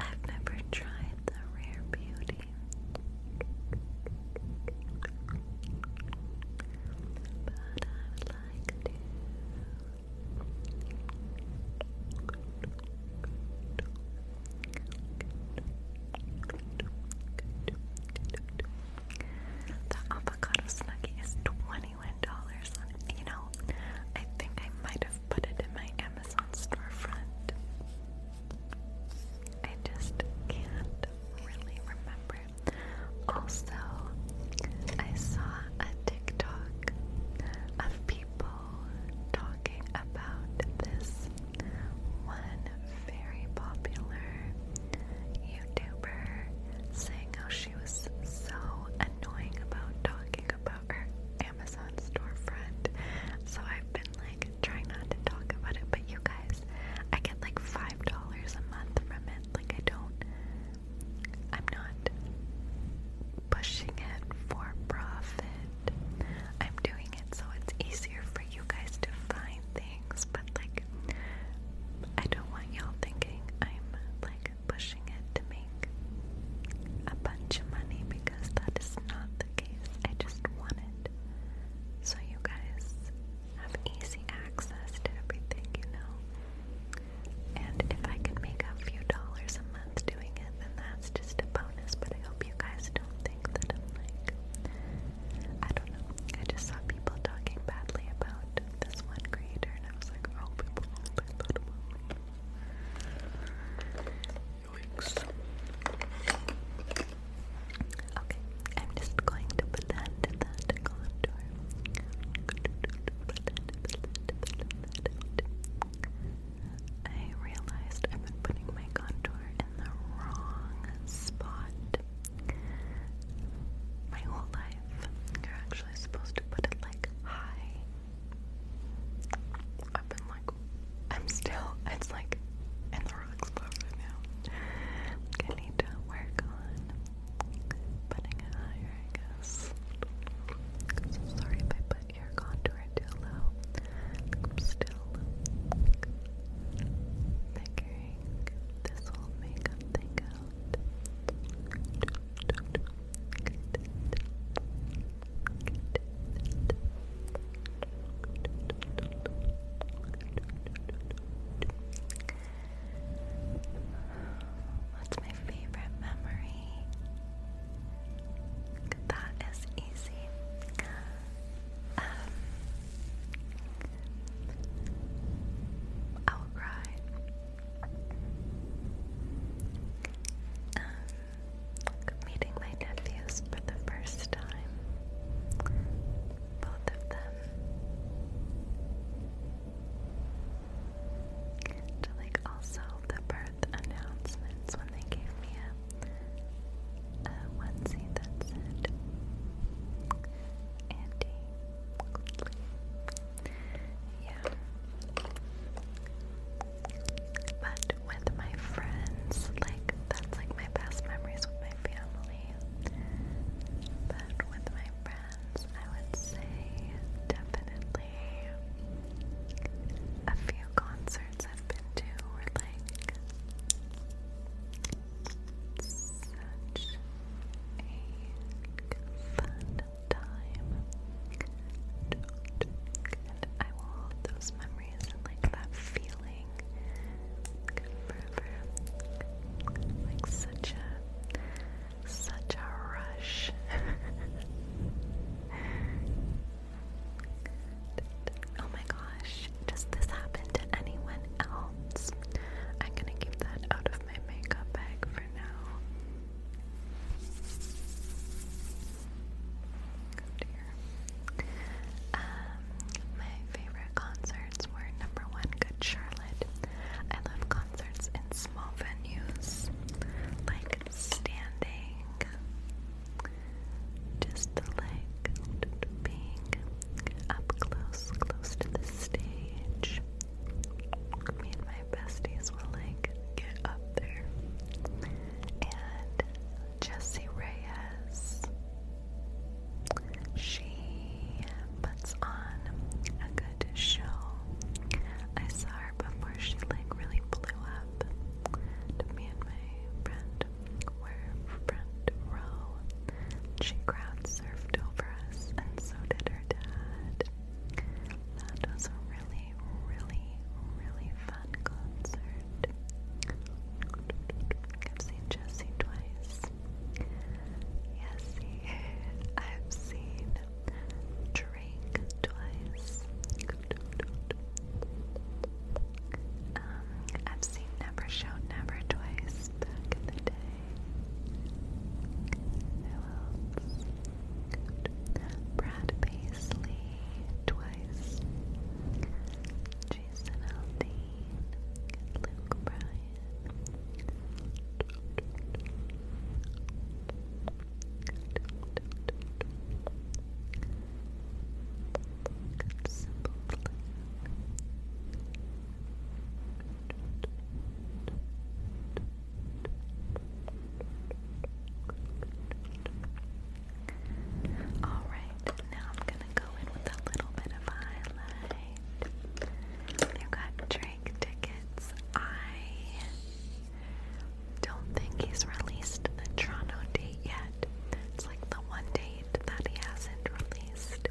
I've never tried the Rare Beauty. But I would like to. The avocado snuggie is twenty-one dollars. You know, I think I might have put it in my Amazon storefront. I just can't really remember. Also, I saw a TikTok of people talking about this one very popular YouTuber saying how she was so annoying about talking about her Amazon storefront. So I've been like trying not to talk about it, but you guys, I get like $5 a month from it. Like, I don't, I'm not pushing it for profit. I'm doing it so it's easier for you guys to find but like I don't want y'all thinking I'm like pushing it to make a bunch of money because that is not the case. I just want it so you guys have easy access to everything, you know. And if I can make a few dollars a month doing it, then that's just a bonus. But I hope you guys don't think that I'm like I don't know. I just saw people talking badly about this one creator, and I was like, oh, people Okay, I'm just going to put that I realized I've been putting my contour in the wrong spot. My whole life, you're actually supposed to put it like high. I've like, I'm still, it's like in the rock spot right now. I need to work on putting it higher, I guess. sorry if I put your contour too low. I'm still figuring this whole makeup thing out. What's my favorite memory? That is easy. Um, will cry. Um, meeting my nephews for the first time. Both of them. like also the birth announcements when they gave me a, a that said Auntie yeah. But with my friends, like that's like my best memories with my family. But with my friends, I would say definitely a few concerts I've been to were like such a fun time. I will hold those memories like that feeling Like such a such a rush. oh my gosh, does this happen to anyone else? I'm gonna keep that out of my makeup bag for now. Um, my favorite concerts were number one, Good Charlotte. I love concerts in small venues, like standing, just like being up close, close to the stage me and my besties will like get up there. And Jessie Reyes, she puts on a good show. I saw her before she like really blew up. me and my friend were front row. She crowd over us, and so did your dad. That was a really, really, really fun concert. I've seen Jesse twice. Jesse, I've seen Drake twice. Um, I've seen Never Show Never twice else? Good. Brad Paisley twice. Jason Aldean. Luke Bryan. Alright, now I'm gonna go in with a little bit of highlight. You got Drake tickets. I don't think he's released the Toronto date yet. It's like the one date that he hasn't released.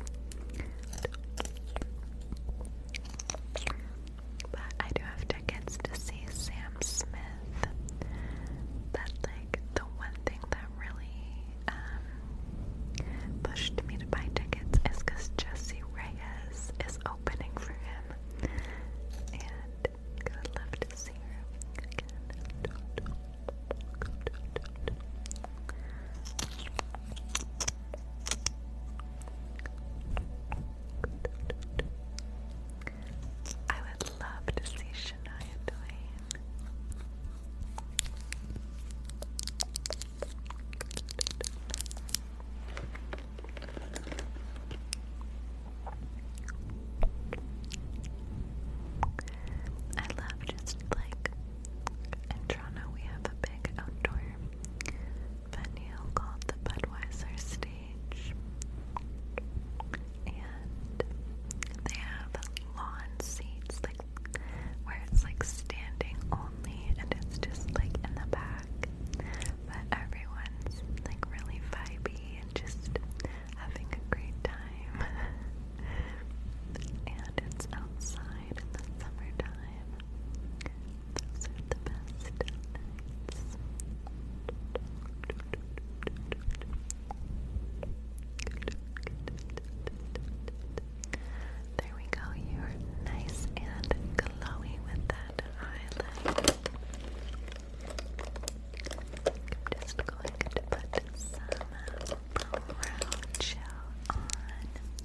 But I do have tickets to see Sam Smith. That's like the one thing that really um, pushed me to buy tickets is because Jesse Reyes is opening for him. And I love to see her again. I would love to see Shania Twain. I love just like in Toronto we have a big outdoor venue called the Bedwiser Stage. And they have lawn seats, like where it's like standing only, and it's just like in the back. But everyone's like really vibey and just having a great time. and it's outside in the summertime. Those There we go. You're nice and glowy with that highlight. I'm just going to put some brow gel on.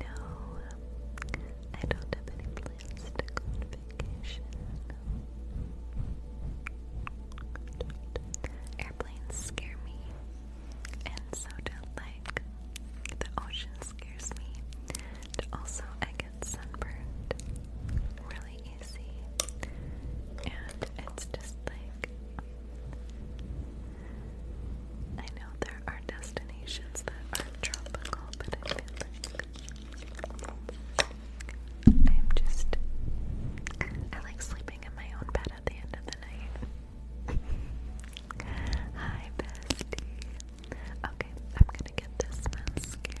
No, I don't have any plans to go on vacation. Airplanes scare me, and so do like the ocean scares me. also, I get sunburned really easy, and it's just like I know there are destinations that are tropical, but I feel like I'm just. I like sleeping in my own bed at the end of the night. Hi, bestie. Okay, I'm gonna get this mascara.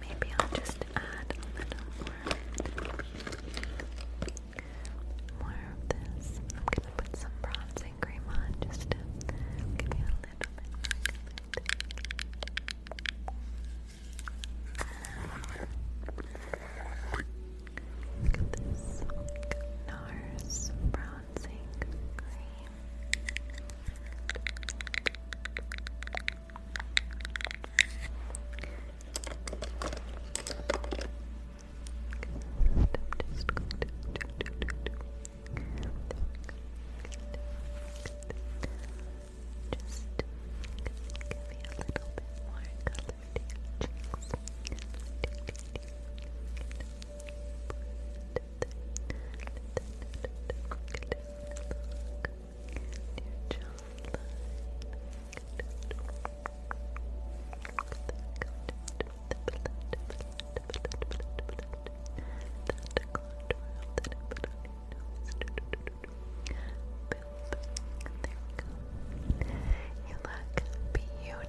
Maybe I'll just add a little more, more of this. I'm gonna put some bronzing cream on just to give you a little bit Look at this NARS bronzer bronzing cream. just going to just give a little bit more you look beautiful.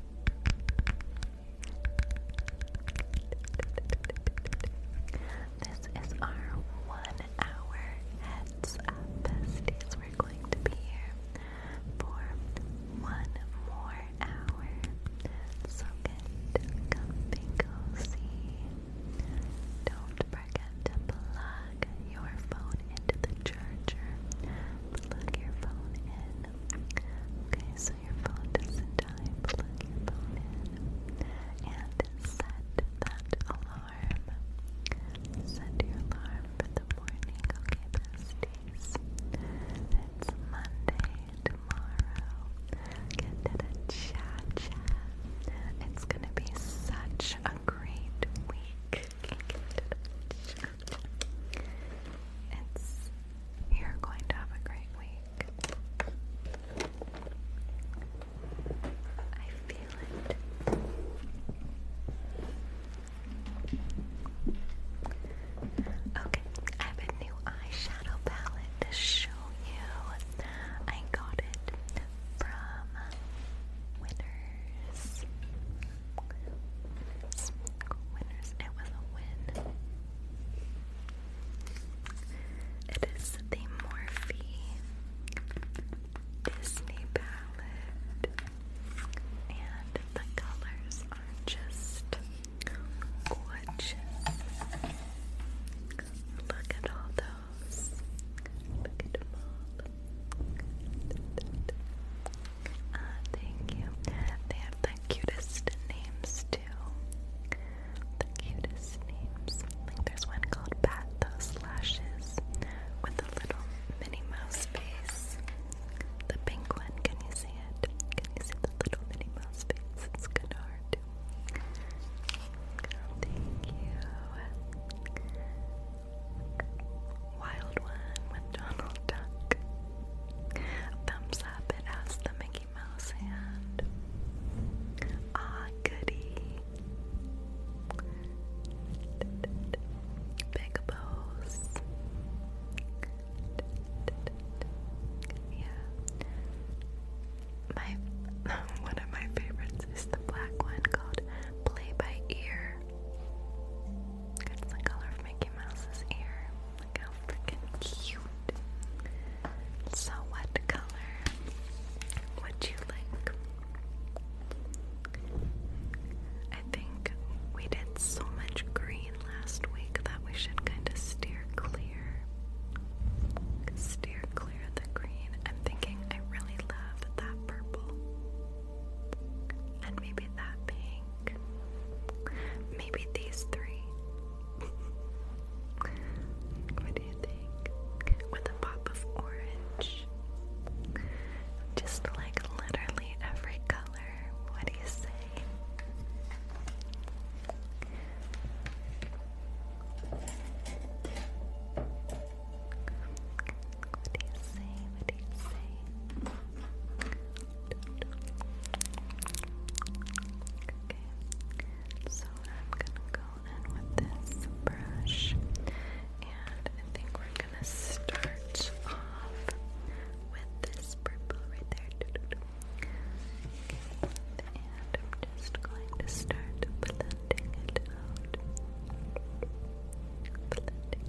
This is our one hour heads We're going to be here for one more hour. So get comfy cozy. Don't forget to plug your phone into the charger. Plug your phone in. Okay, so your phone doesn't die. Plug your phone in and set that alarm. Set your alarm for the morning, okay, besties? It's Monday tomorrow. Get to the cha cha. It's gonna be such a great week. It's you're going to have a great week. I feel it. Okay, I have a new eyeshadow palette to show you. I got it from Winners. Winners. Winners. It was a win. It is the Morphe Disney palette. And the colors are just gorgeous. Look at all those. Look at all. Uh, thank you. They have the cutest names too. The cutest names. there's one called Bat Those Lashes with a little Minnie Mouse face. The pink one. Can you see it? Can you see the little Minnie Mouse face? It's kind of hard Thank you. Wild One with Donald Duck. Thumbs up, it has the Mickey Mouse hand. Ah, goody. Big pose. Yeah. My one of my favorites is the black one called Play by Ear. It's the color of Mickey Mouse's ear. Look how freaking cute. So, what color would you like? I think we did so much green last week that we should kind of steer clear. Steer clear of the green. I'm thinking I really love that purple. And maybe that pink maybe these three. what do you think? With a pop of orange. Just like literally every color. What do you say? What do you say? What do you say? Okay, so I'm gonna go in with this brush, and I think we're gonna start off with this purple right there. and I'm just going to start blending it out. Blending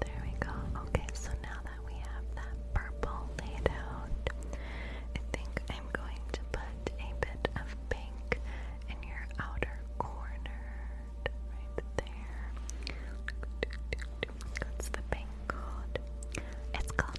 There we go. Okay, so now that we have that purple laid out, I think I'm going to put a bit of pink in your outer corner, right there. What's the pink called? It's called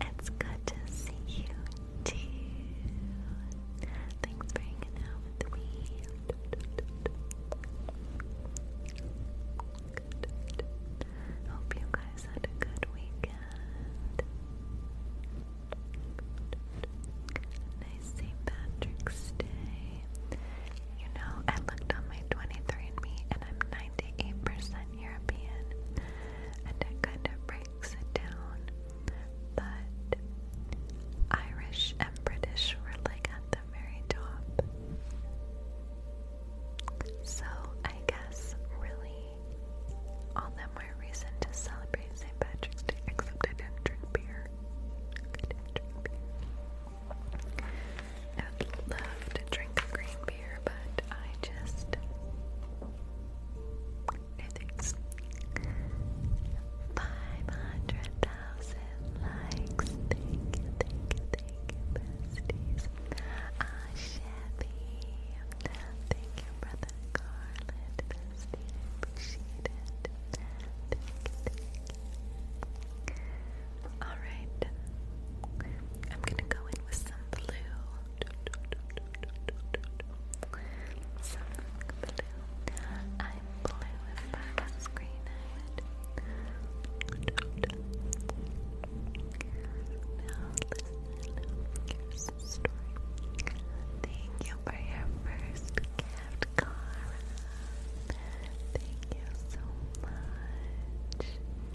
It's good to see you too. Thanks for hanging out with me. Hope you guys had a good weekend. Nice St. Patrick's Day. You know, I looked on my 23andMe and I'm 98% European, and it kind of breaks it down. But Irish and British were like at the very top. So I guess really all the more reason to celebrate St. Patrick's Day, except I did not drink beer. I would love to drink green beer, but I just no thanks. Five hundred thousand likes. Thank you, thank besties. Ah, uh, Chevy. Thank you, brother Garland, bestie. I appreciate it. Thank Alright. I'm gonna go in with some blue. Some blue. I'm blue if I green I Now listen, Thank you for your first gift, Cara. Thank you so much.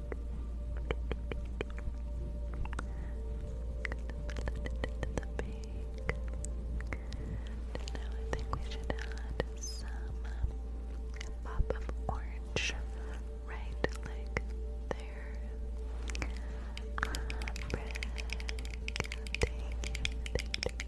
I think we should add some pop of orange right like there. Uh, Rick, thank you, thank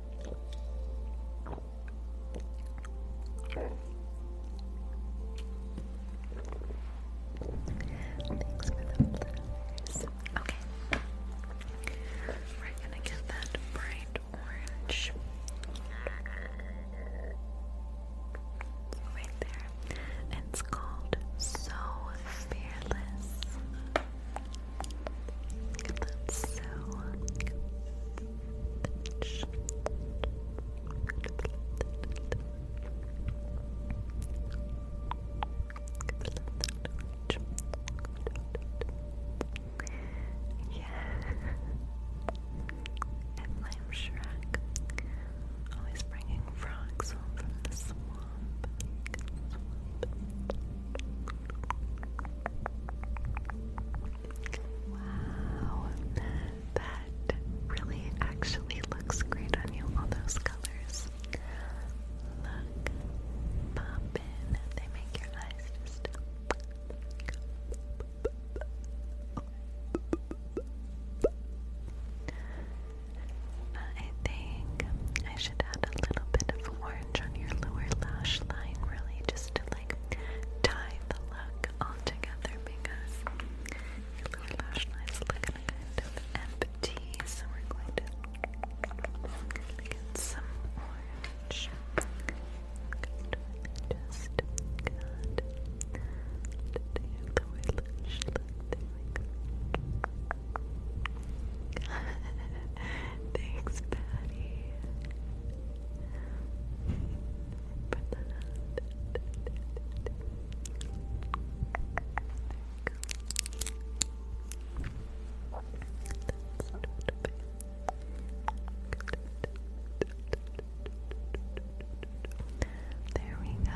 Thanks for Okay. We're gonna get that bright orange right there. It's called So Fearless. That's so Yeah. and Shrek always bringing frogs home the swamp. Wow, that really actually looks great on you, all those colors. Look, pop they make your eyes just. I think I should add a little bit of orange on your lower lash line, really, just to like tie the look all together because your lower lash line's looking kind of empty. So we're going to get some orange. Just to your lower lash line. Thanks, Patty. there we go.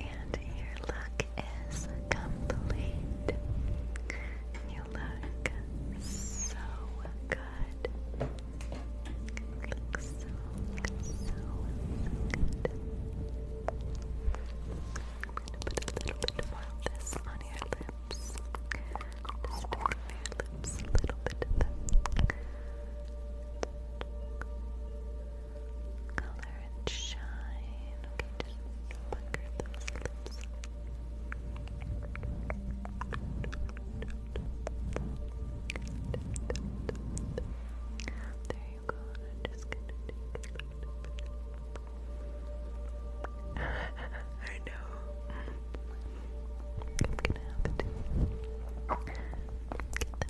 And your look is complete. You look so good. You look so, good. I'm gonna put a little bit of this on your lips. little bit of color and shine. Okay, do There you go. I'm just gonna take a I know. I'm gonna have to get the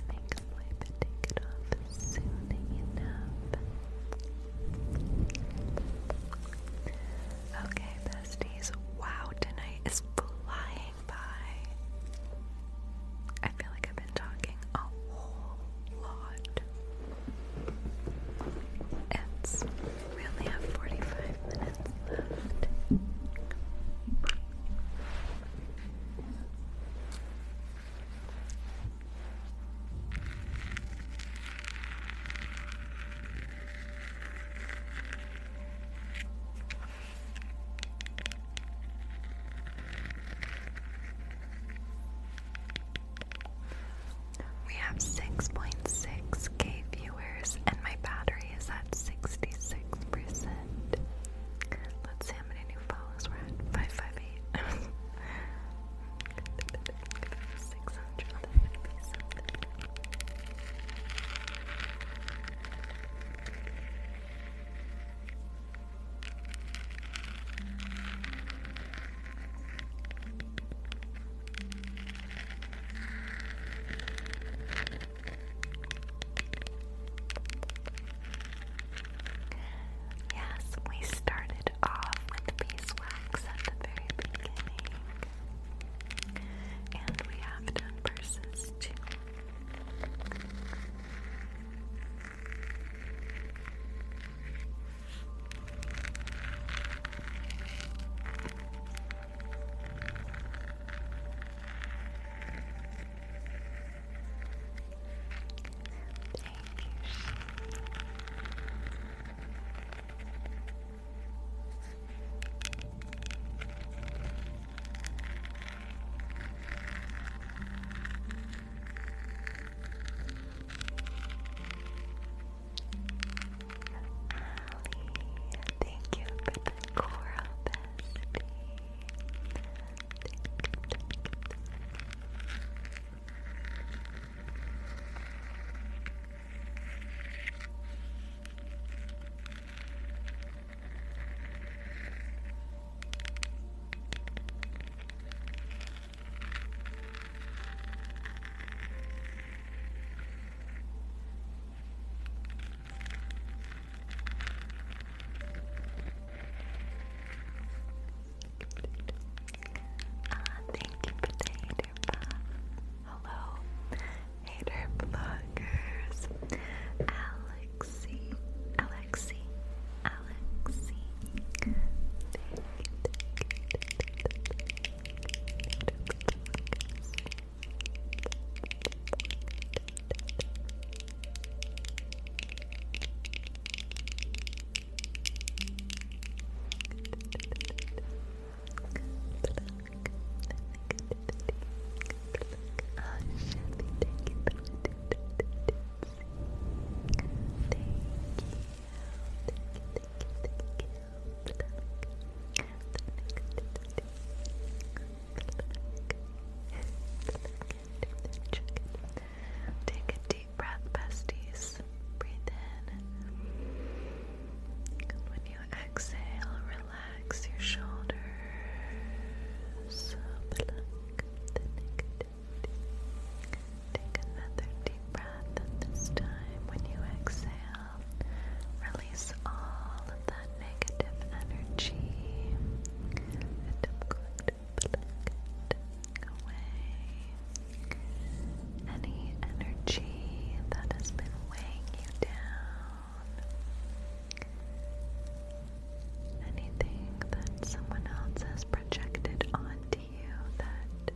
makeup wipe and take it off soon enough. Okay, besties. Wow, tonight is flying by. I feel like I've been talking a whole lot. It's we only have 45 minutes left. We have 6.6k viewers, and my battery is at 66%. Let's see how many new follows we're at. 558. Six hundred. That Yes, we started off with beeswax at the very beginning. And we have done verses too. Thank you. Thank you for the coral Ah, thank you, potato puff. Hello, hater bloggers. Alexi, Alexi, Alexi. thank you, Take a deep breath, besties breathe in. when you exhale, relax your shoulders. Take another deep breath, and this time, when you exhale, release all of that negative energy any energy that has been weighing you down, anything that someone else has projected onto you that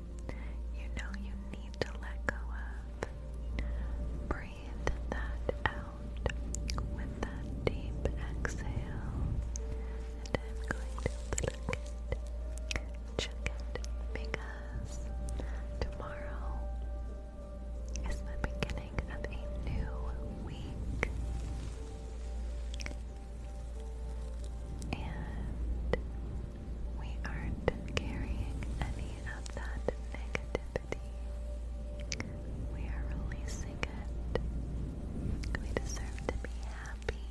you know you need to let go of. Breathe that out with that deep exhale. And I'm going to pluck it, because tomorrow is the beginning of a new week. And we aren't carrying any of that negativity. We are releasing it. We deserve to be happy.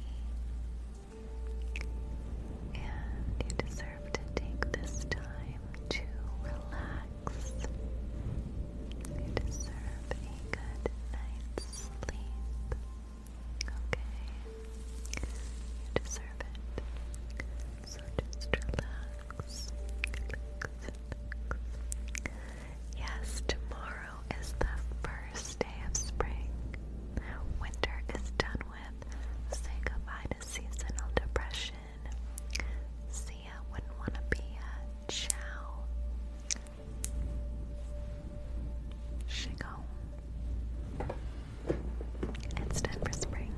And you deserve to take this time to relax. You deserve a good night's sleep. Okay? You deserve it. So just relax. Yes, tomorrow is the first day of spring. Winter is done with. Say goodbye seasonal depression. Sia wouldn't want to be a chow. Shigong. It's time for spring.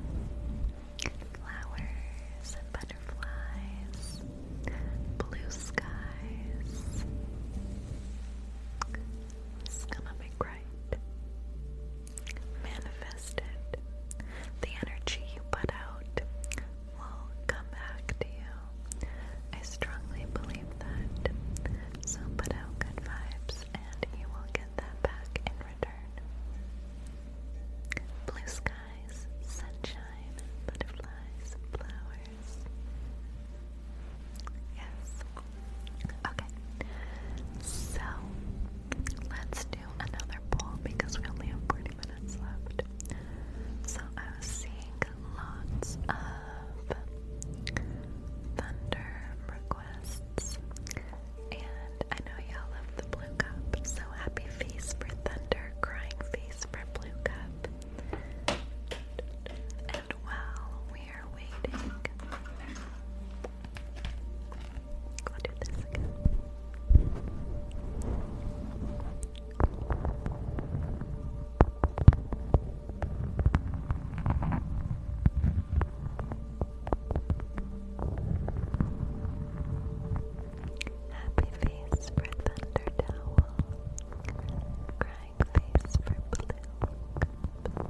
Flowers and butterflies, blue skies. It's gonna be great. Manifest it. The energy you put out will come back to you. I strongly believe that. So put out good vibes and you will get that back in return. Blue skies, sunshine, butterflies, flowers. Yes. Okay. So Let's do another poll because we only have 40 minutes left. So I was seeing lots of thunder requests, and I know y'all love the blue cup. So happy face for thunder, crying face for blue cup. And while we are waiting. I'll do this again. Happy face for thunder towel. Crying face for blue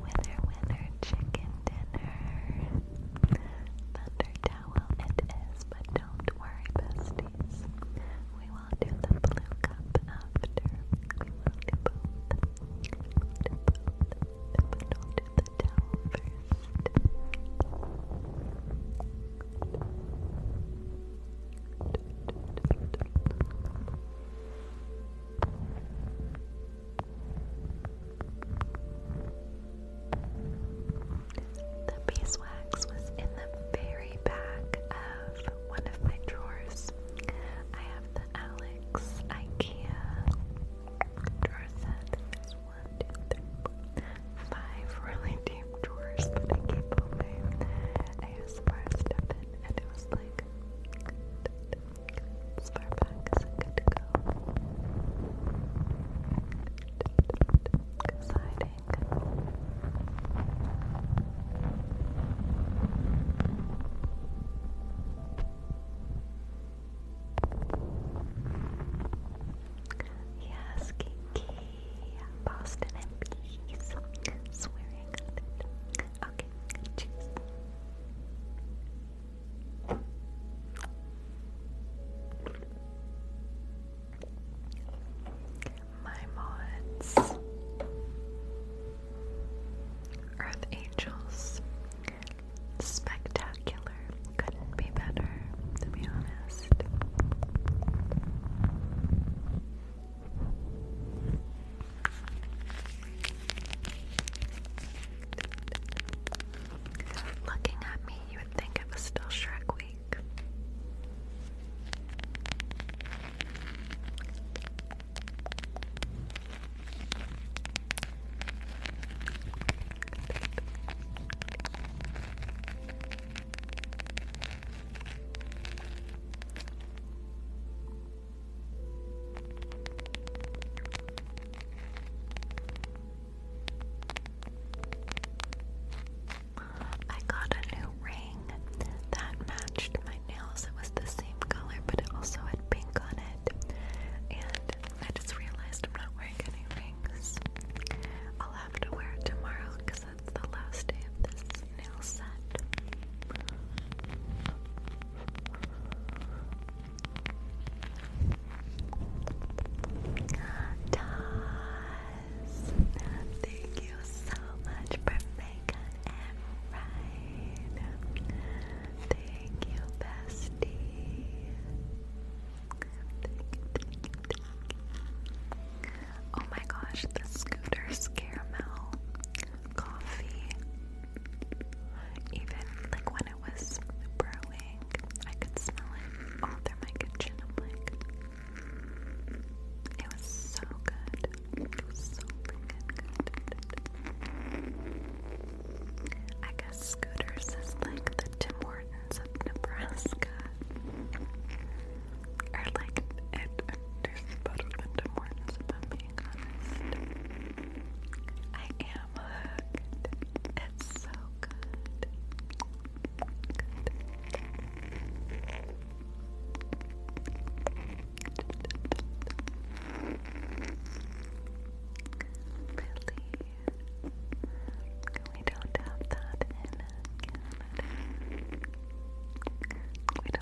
Winner, winner, chicken dinner. Thunder towel it is, but don't worry, besties. We will do the blue cup after. We will do both. We'll do the towel first. The beeswax was in the very back of one of my drawers. I have the Alex IKEA drawer set. There's one, two, three, four, five really deep drawers that I keep open. I used the bar stuff in, and it was like Good. As far back as I could go. Exciting. Yes, Boston and peace. Swearing. My mods, Earth Angels, spectacular. Couldn't be better, to be honest. Looking at me, you would think it was still Shrek Week. I got a new ring that matched my nails. It was the same color, but it also had pink on it. And I just realized I'm not wearing any rings. I'll have to wear it tomorrow because that's the last day of this nail thank you so much for making it right. Thank you, bestie. Oh my gosh, the scooter scaramel coffee. Even like when it was brewing, I could smell it all through my kitchen. i like, it was so good. It was so freaking good. I guess Scooters is like the Tim of Nebraska. Or like, it, better than Tim being honest. I am hooked. It's so good. Really? We don't have that in Canada. Yeah,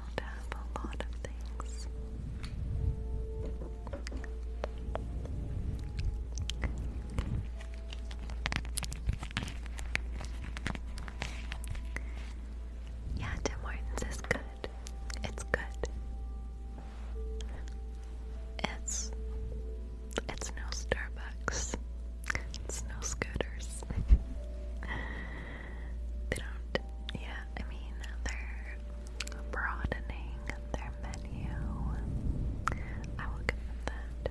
Tim Hortons is good. It's good. It's it's no Starbucks. It's no scooters. They don't, yeah, I mean, they're broadening their menu. I will give them that.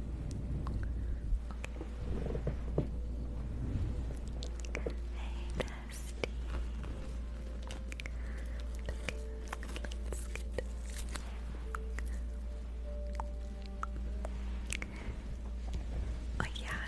Hey, Dusty. Okay, Oh yeah,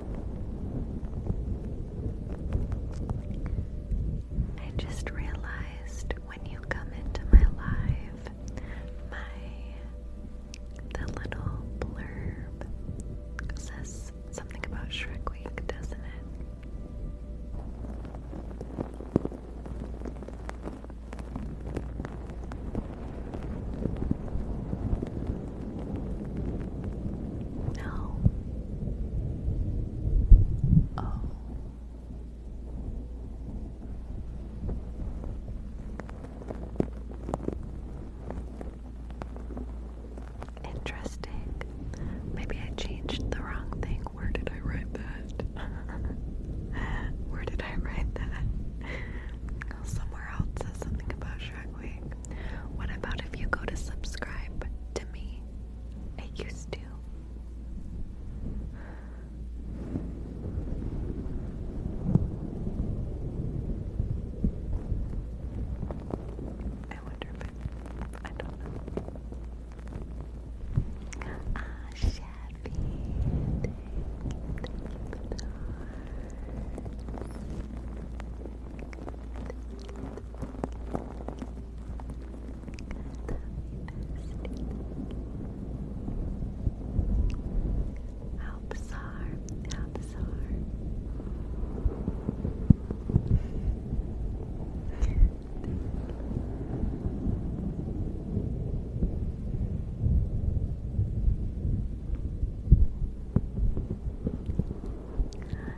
I just realized when you come into my live, my the little blurb says something about Shrek Week, doesn't it? Now, oh, interesting. Maybe I changed the wrong thing. Where did I write that? Where did I write that? Somewhere else says something about shark what about if you go to subscribe to me? I used to. I wonder if I don't know. Ah, how bizarre, how bizarre.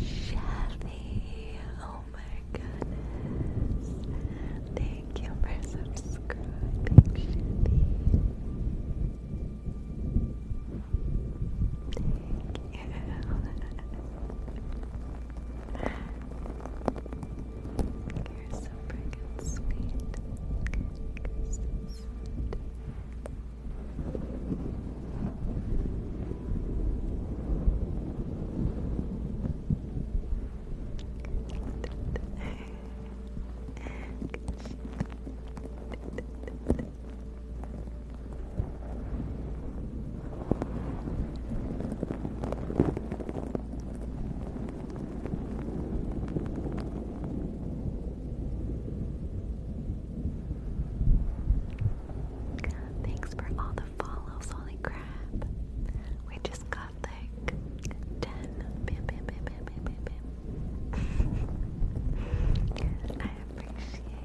Chevy, oh Oh my goodness. Thank you for subscribing, Thank you. You're so freaking sweet. Thanks for all the follows. Holy crap. We just got like 10. I appreciate you.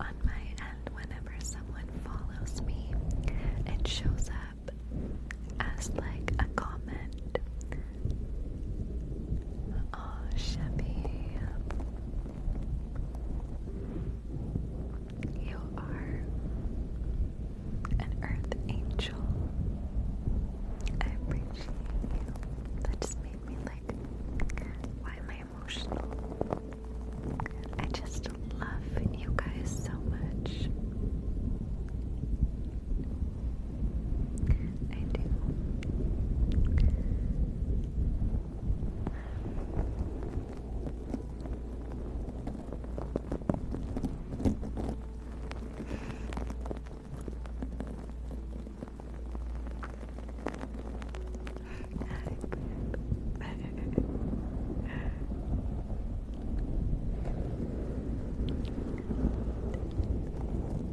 On my end, whenever someone follows me, it shows up as like a comment Oh, Chevy, you are an earth angel. I appreciate you. That just made me like, why am I emotional? I just love you guys so much. I do. I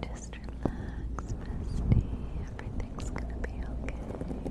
Just relax, bestie. Everything's gonna be okay.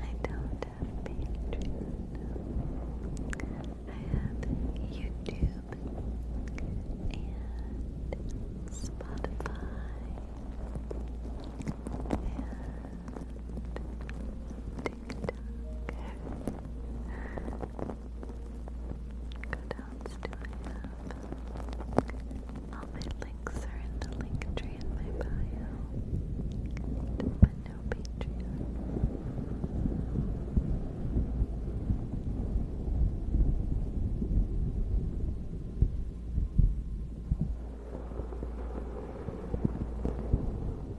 I don't have Patreon. I have YouTube and Spotify what else do I All my links are in the link tree in my bio. But no Patreon.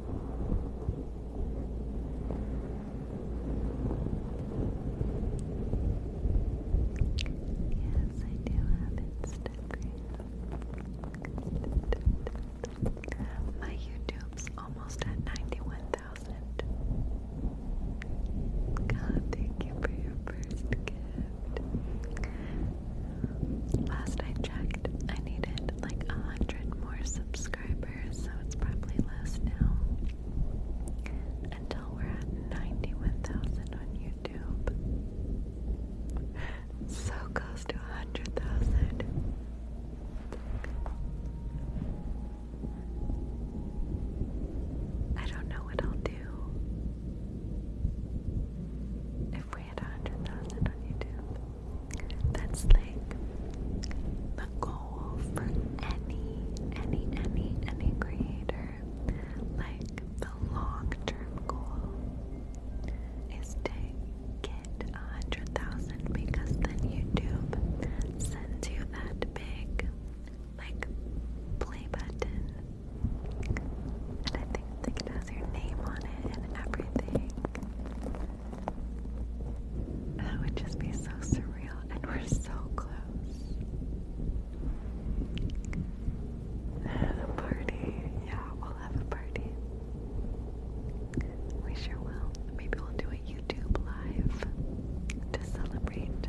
Yes, I do have Instagram. My YouTube's almost at 91,000. God, thank you for your first gift. Last I checked, I needed like a hundred more subscribers so it's probably less now. Until we're at 91,000 on YouTube. So close to 100,000. I don't know what I'll do if we hit 100,000 on YouTube. That's like the goal for any, any, any, any creator. Like the long-term goal is to get a hundred thousand because then YouTube sends you that big like play button. And I think like, it has your name on it and everything. That would just be so surreal, and we're so close. The party, yeah, we'll have a party. We sure will. Maybe we'll do a YouTube live to celebrate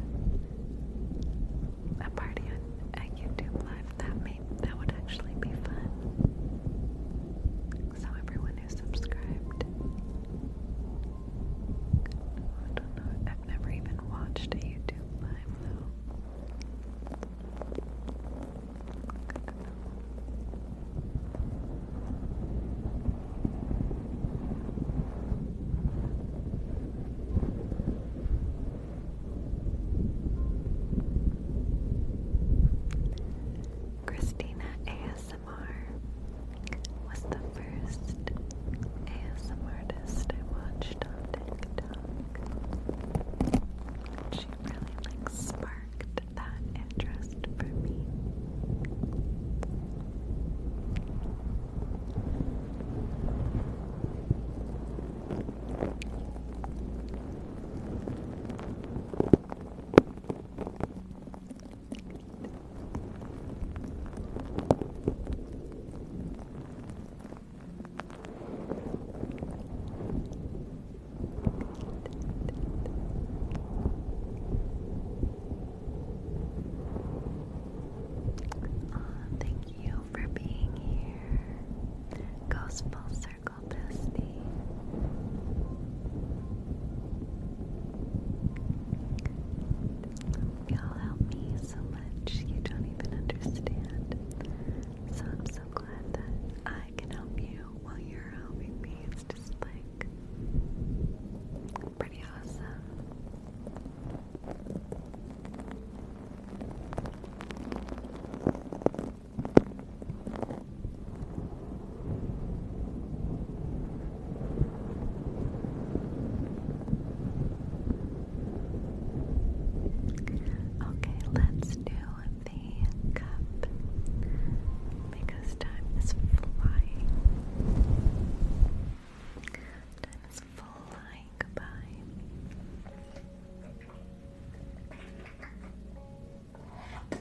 a party on a YouTube live. That may that would actually be fun. So everyone anyone who subscribed. I don't know, I've never even watched a YouTube live Christina ASMR, ASMR was the first ASM artist I watched on TikTok. She really like sparked that interest for me thank you for being here. Goes full circle, bestie. Y'all help me so much, you don't even understand. So I'm so glad that I can help you while you're helping me. It's just like pretty awesome. Okay, let's do the cup because time is flying. Time is flying by. Okay,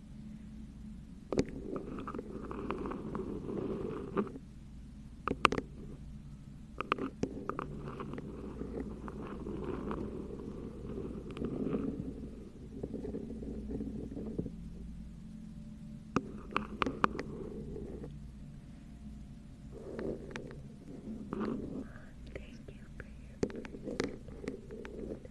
Thank you for your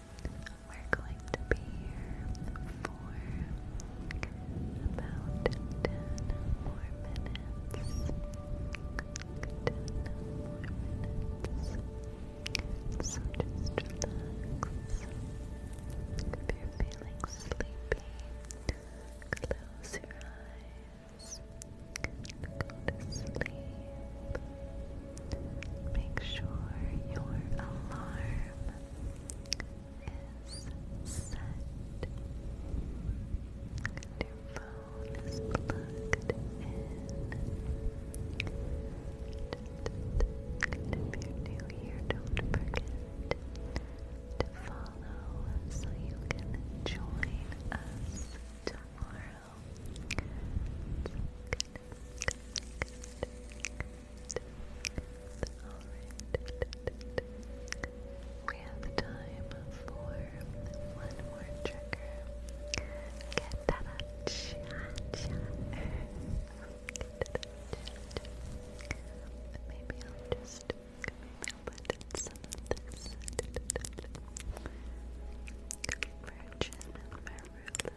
We're going to be here for about 10 more minutes. 10 more minutes. So just relax. If you're feeling sleepy, close your eyes. Go Go to sleep Make sure your alarm is set. your phone is plugged in. if you're new here, don't forget to follow so you can join us tomorrow. Alright. We have time for one more trigger. Get that up. Cha Maybe just maybe I'll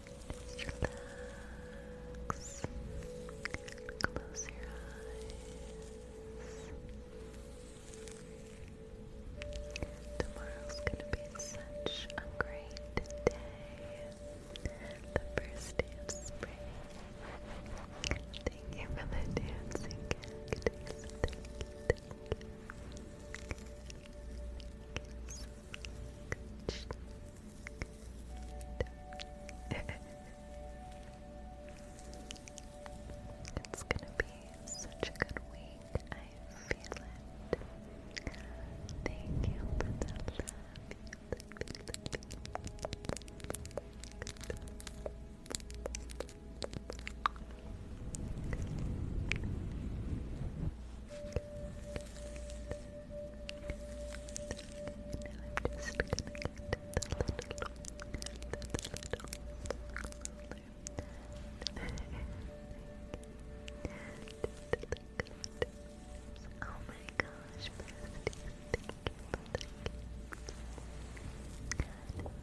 Just relax. Close your eyes. Tomorrow's gonna be such a great day. The first day of spring. Thank you for the dancing it's gonna be such a good week. I feel it. Thank you for the thank you, Oh my gosh, Amanda with the sub, thank you so much.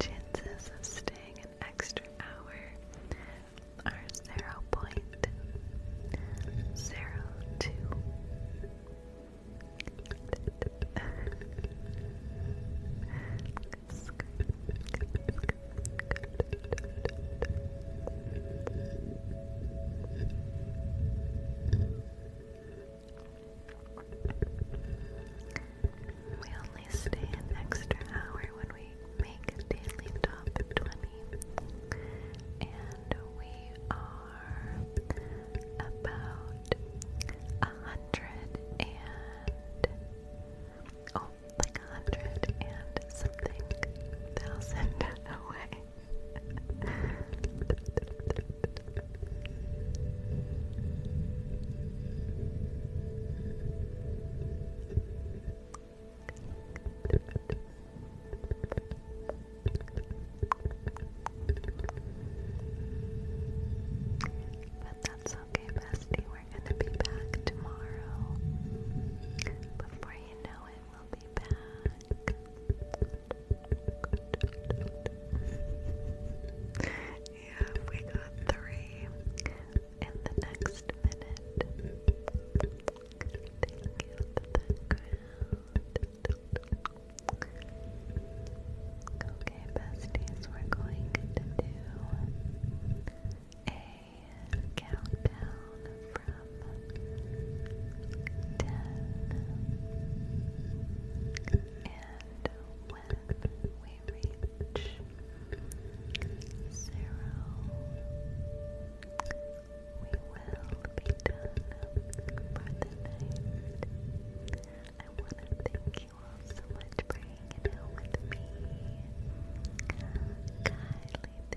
Chances of staying an extra hour are zero point zero two. We only stay an extra hour when we make daily top 20, and we are about a hundred and oh, like hundred and something thousand away. But that's okay, bestie. We're gonna be back tomorrow. Before you know it, yeah, we got three in the next minute. Okay, besties, we're going to do a countdown from ten, and when we reach zero, we will be done for the night. I want to thank you all so much for hanging out with me. Kylie,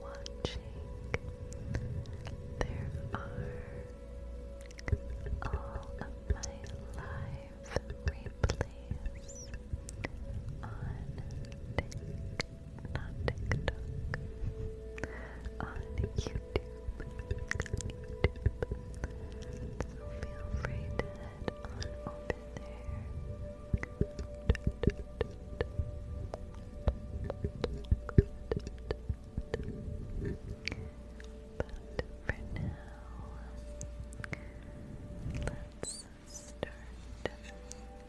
watching. There are all of my live replays on TikTok, not TikTok, on YouTube. So feel free to head on over there for now, let's start the countdown.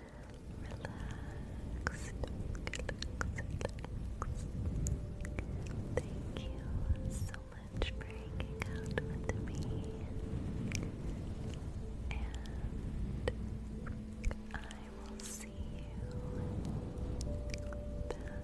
relax, relaxed. Thank you so much for hanging out with me. And I will see you back here tomorrow.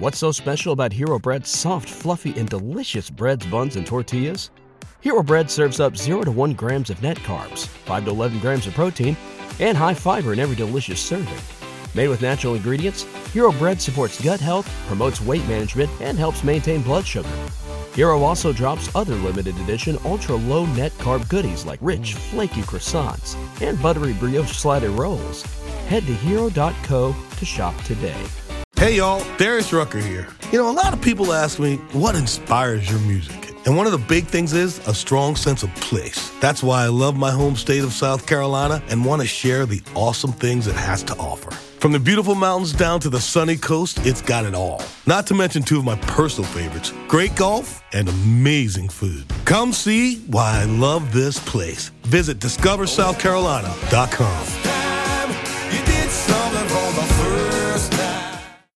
What's so special about Hero Bread's soft, fluffy, and delicious breads, buns, and tortillas? Hero Bread serves up 0 to 1 grams of net carbs, 5 to 11 grams of protein, and high fiber in every delicious serving. Made with natural ingredients, Hero Bread supports gut health, promotes weight management, and helps maintain blood sugar. Hero also drops other limited edition ultra low net carb goodies like rich, flaky croissants and buttery brioche slider rolls. Head to hero.co to shop today. Hey y'all, Darius Rucker here. You know, a lot of people ask me, what inspires your music? And one of the big things is a strong sense of place. That's why I love my home state of South Carolina and want to share the awesome things it has to offer. From the beautiful mountains down to the sunny coast, it's got it all. Not to mention two of my personal favorites great golf and amazing food. Come see why I love this place. Visit discoversouthcarolina.com.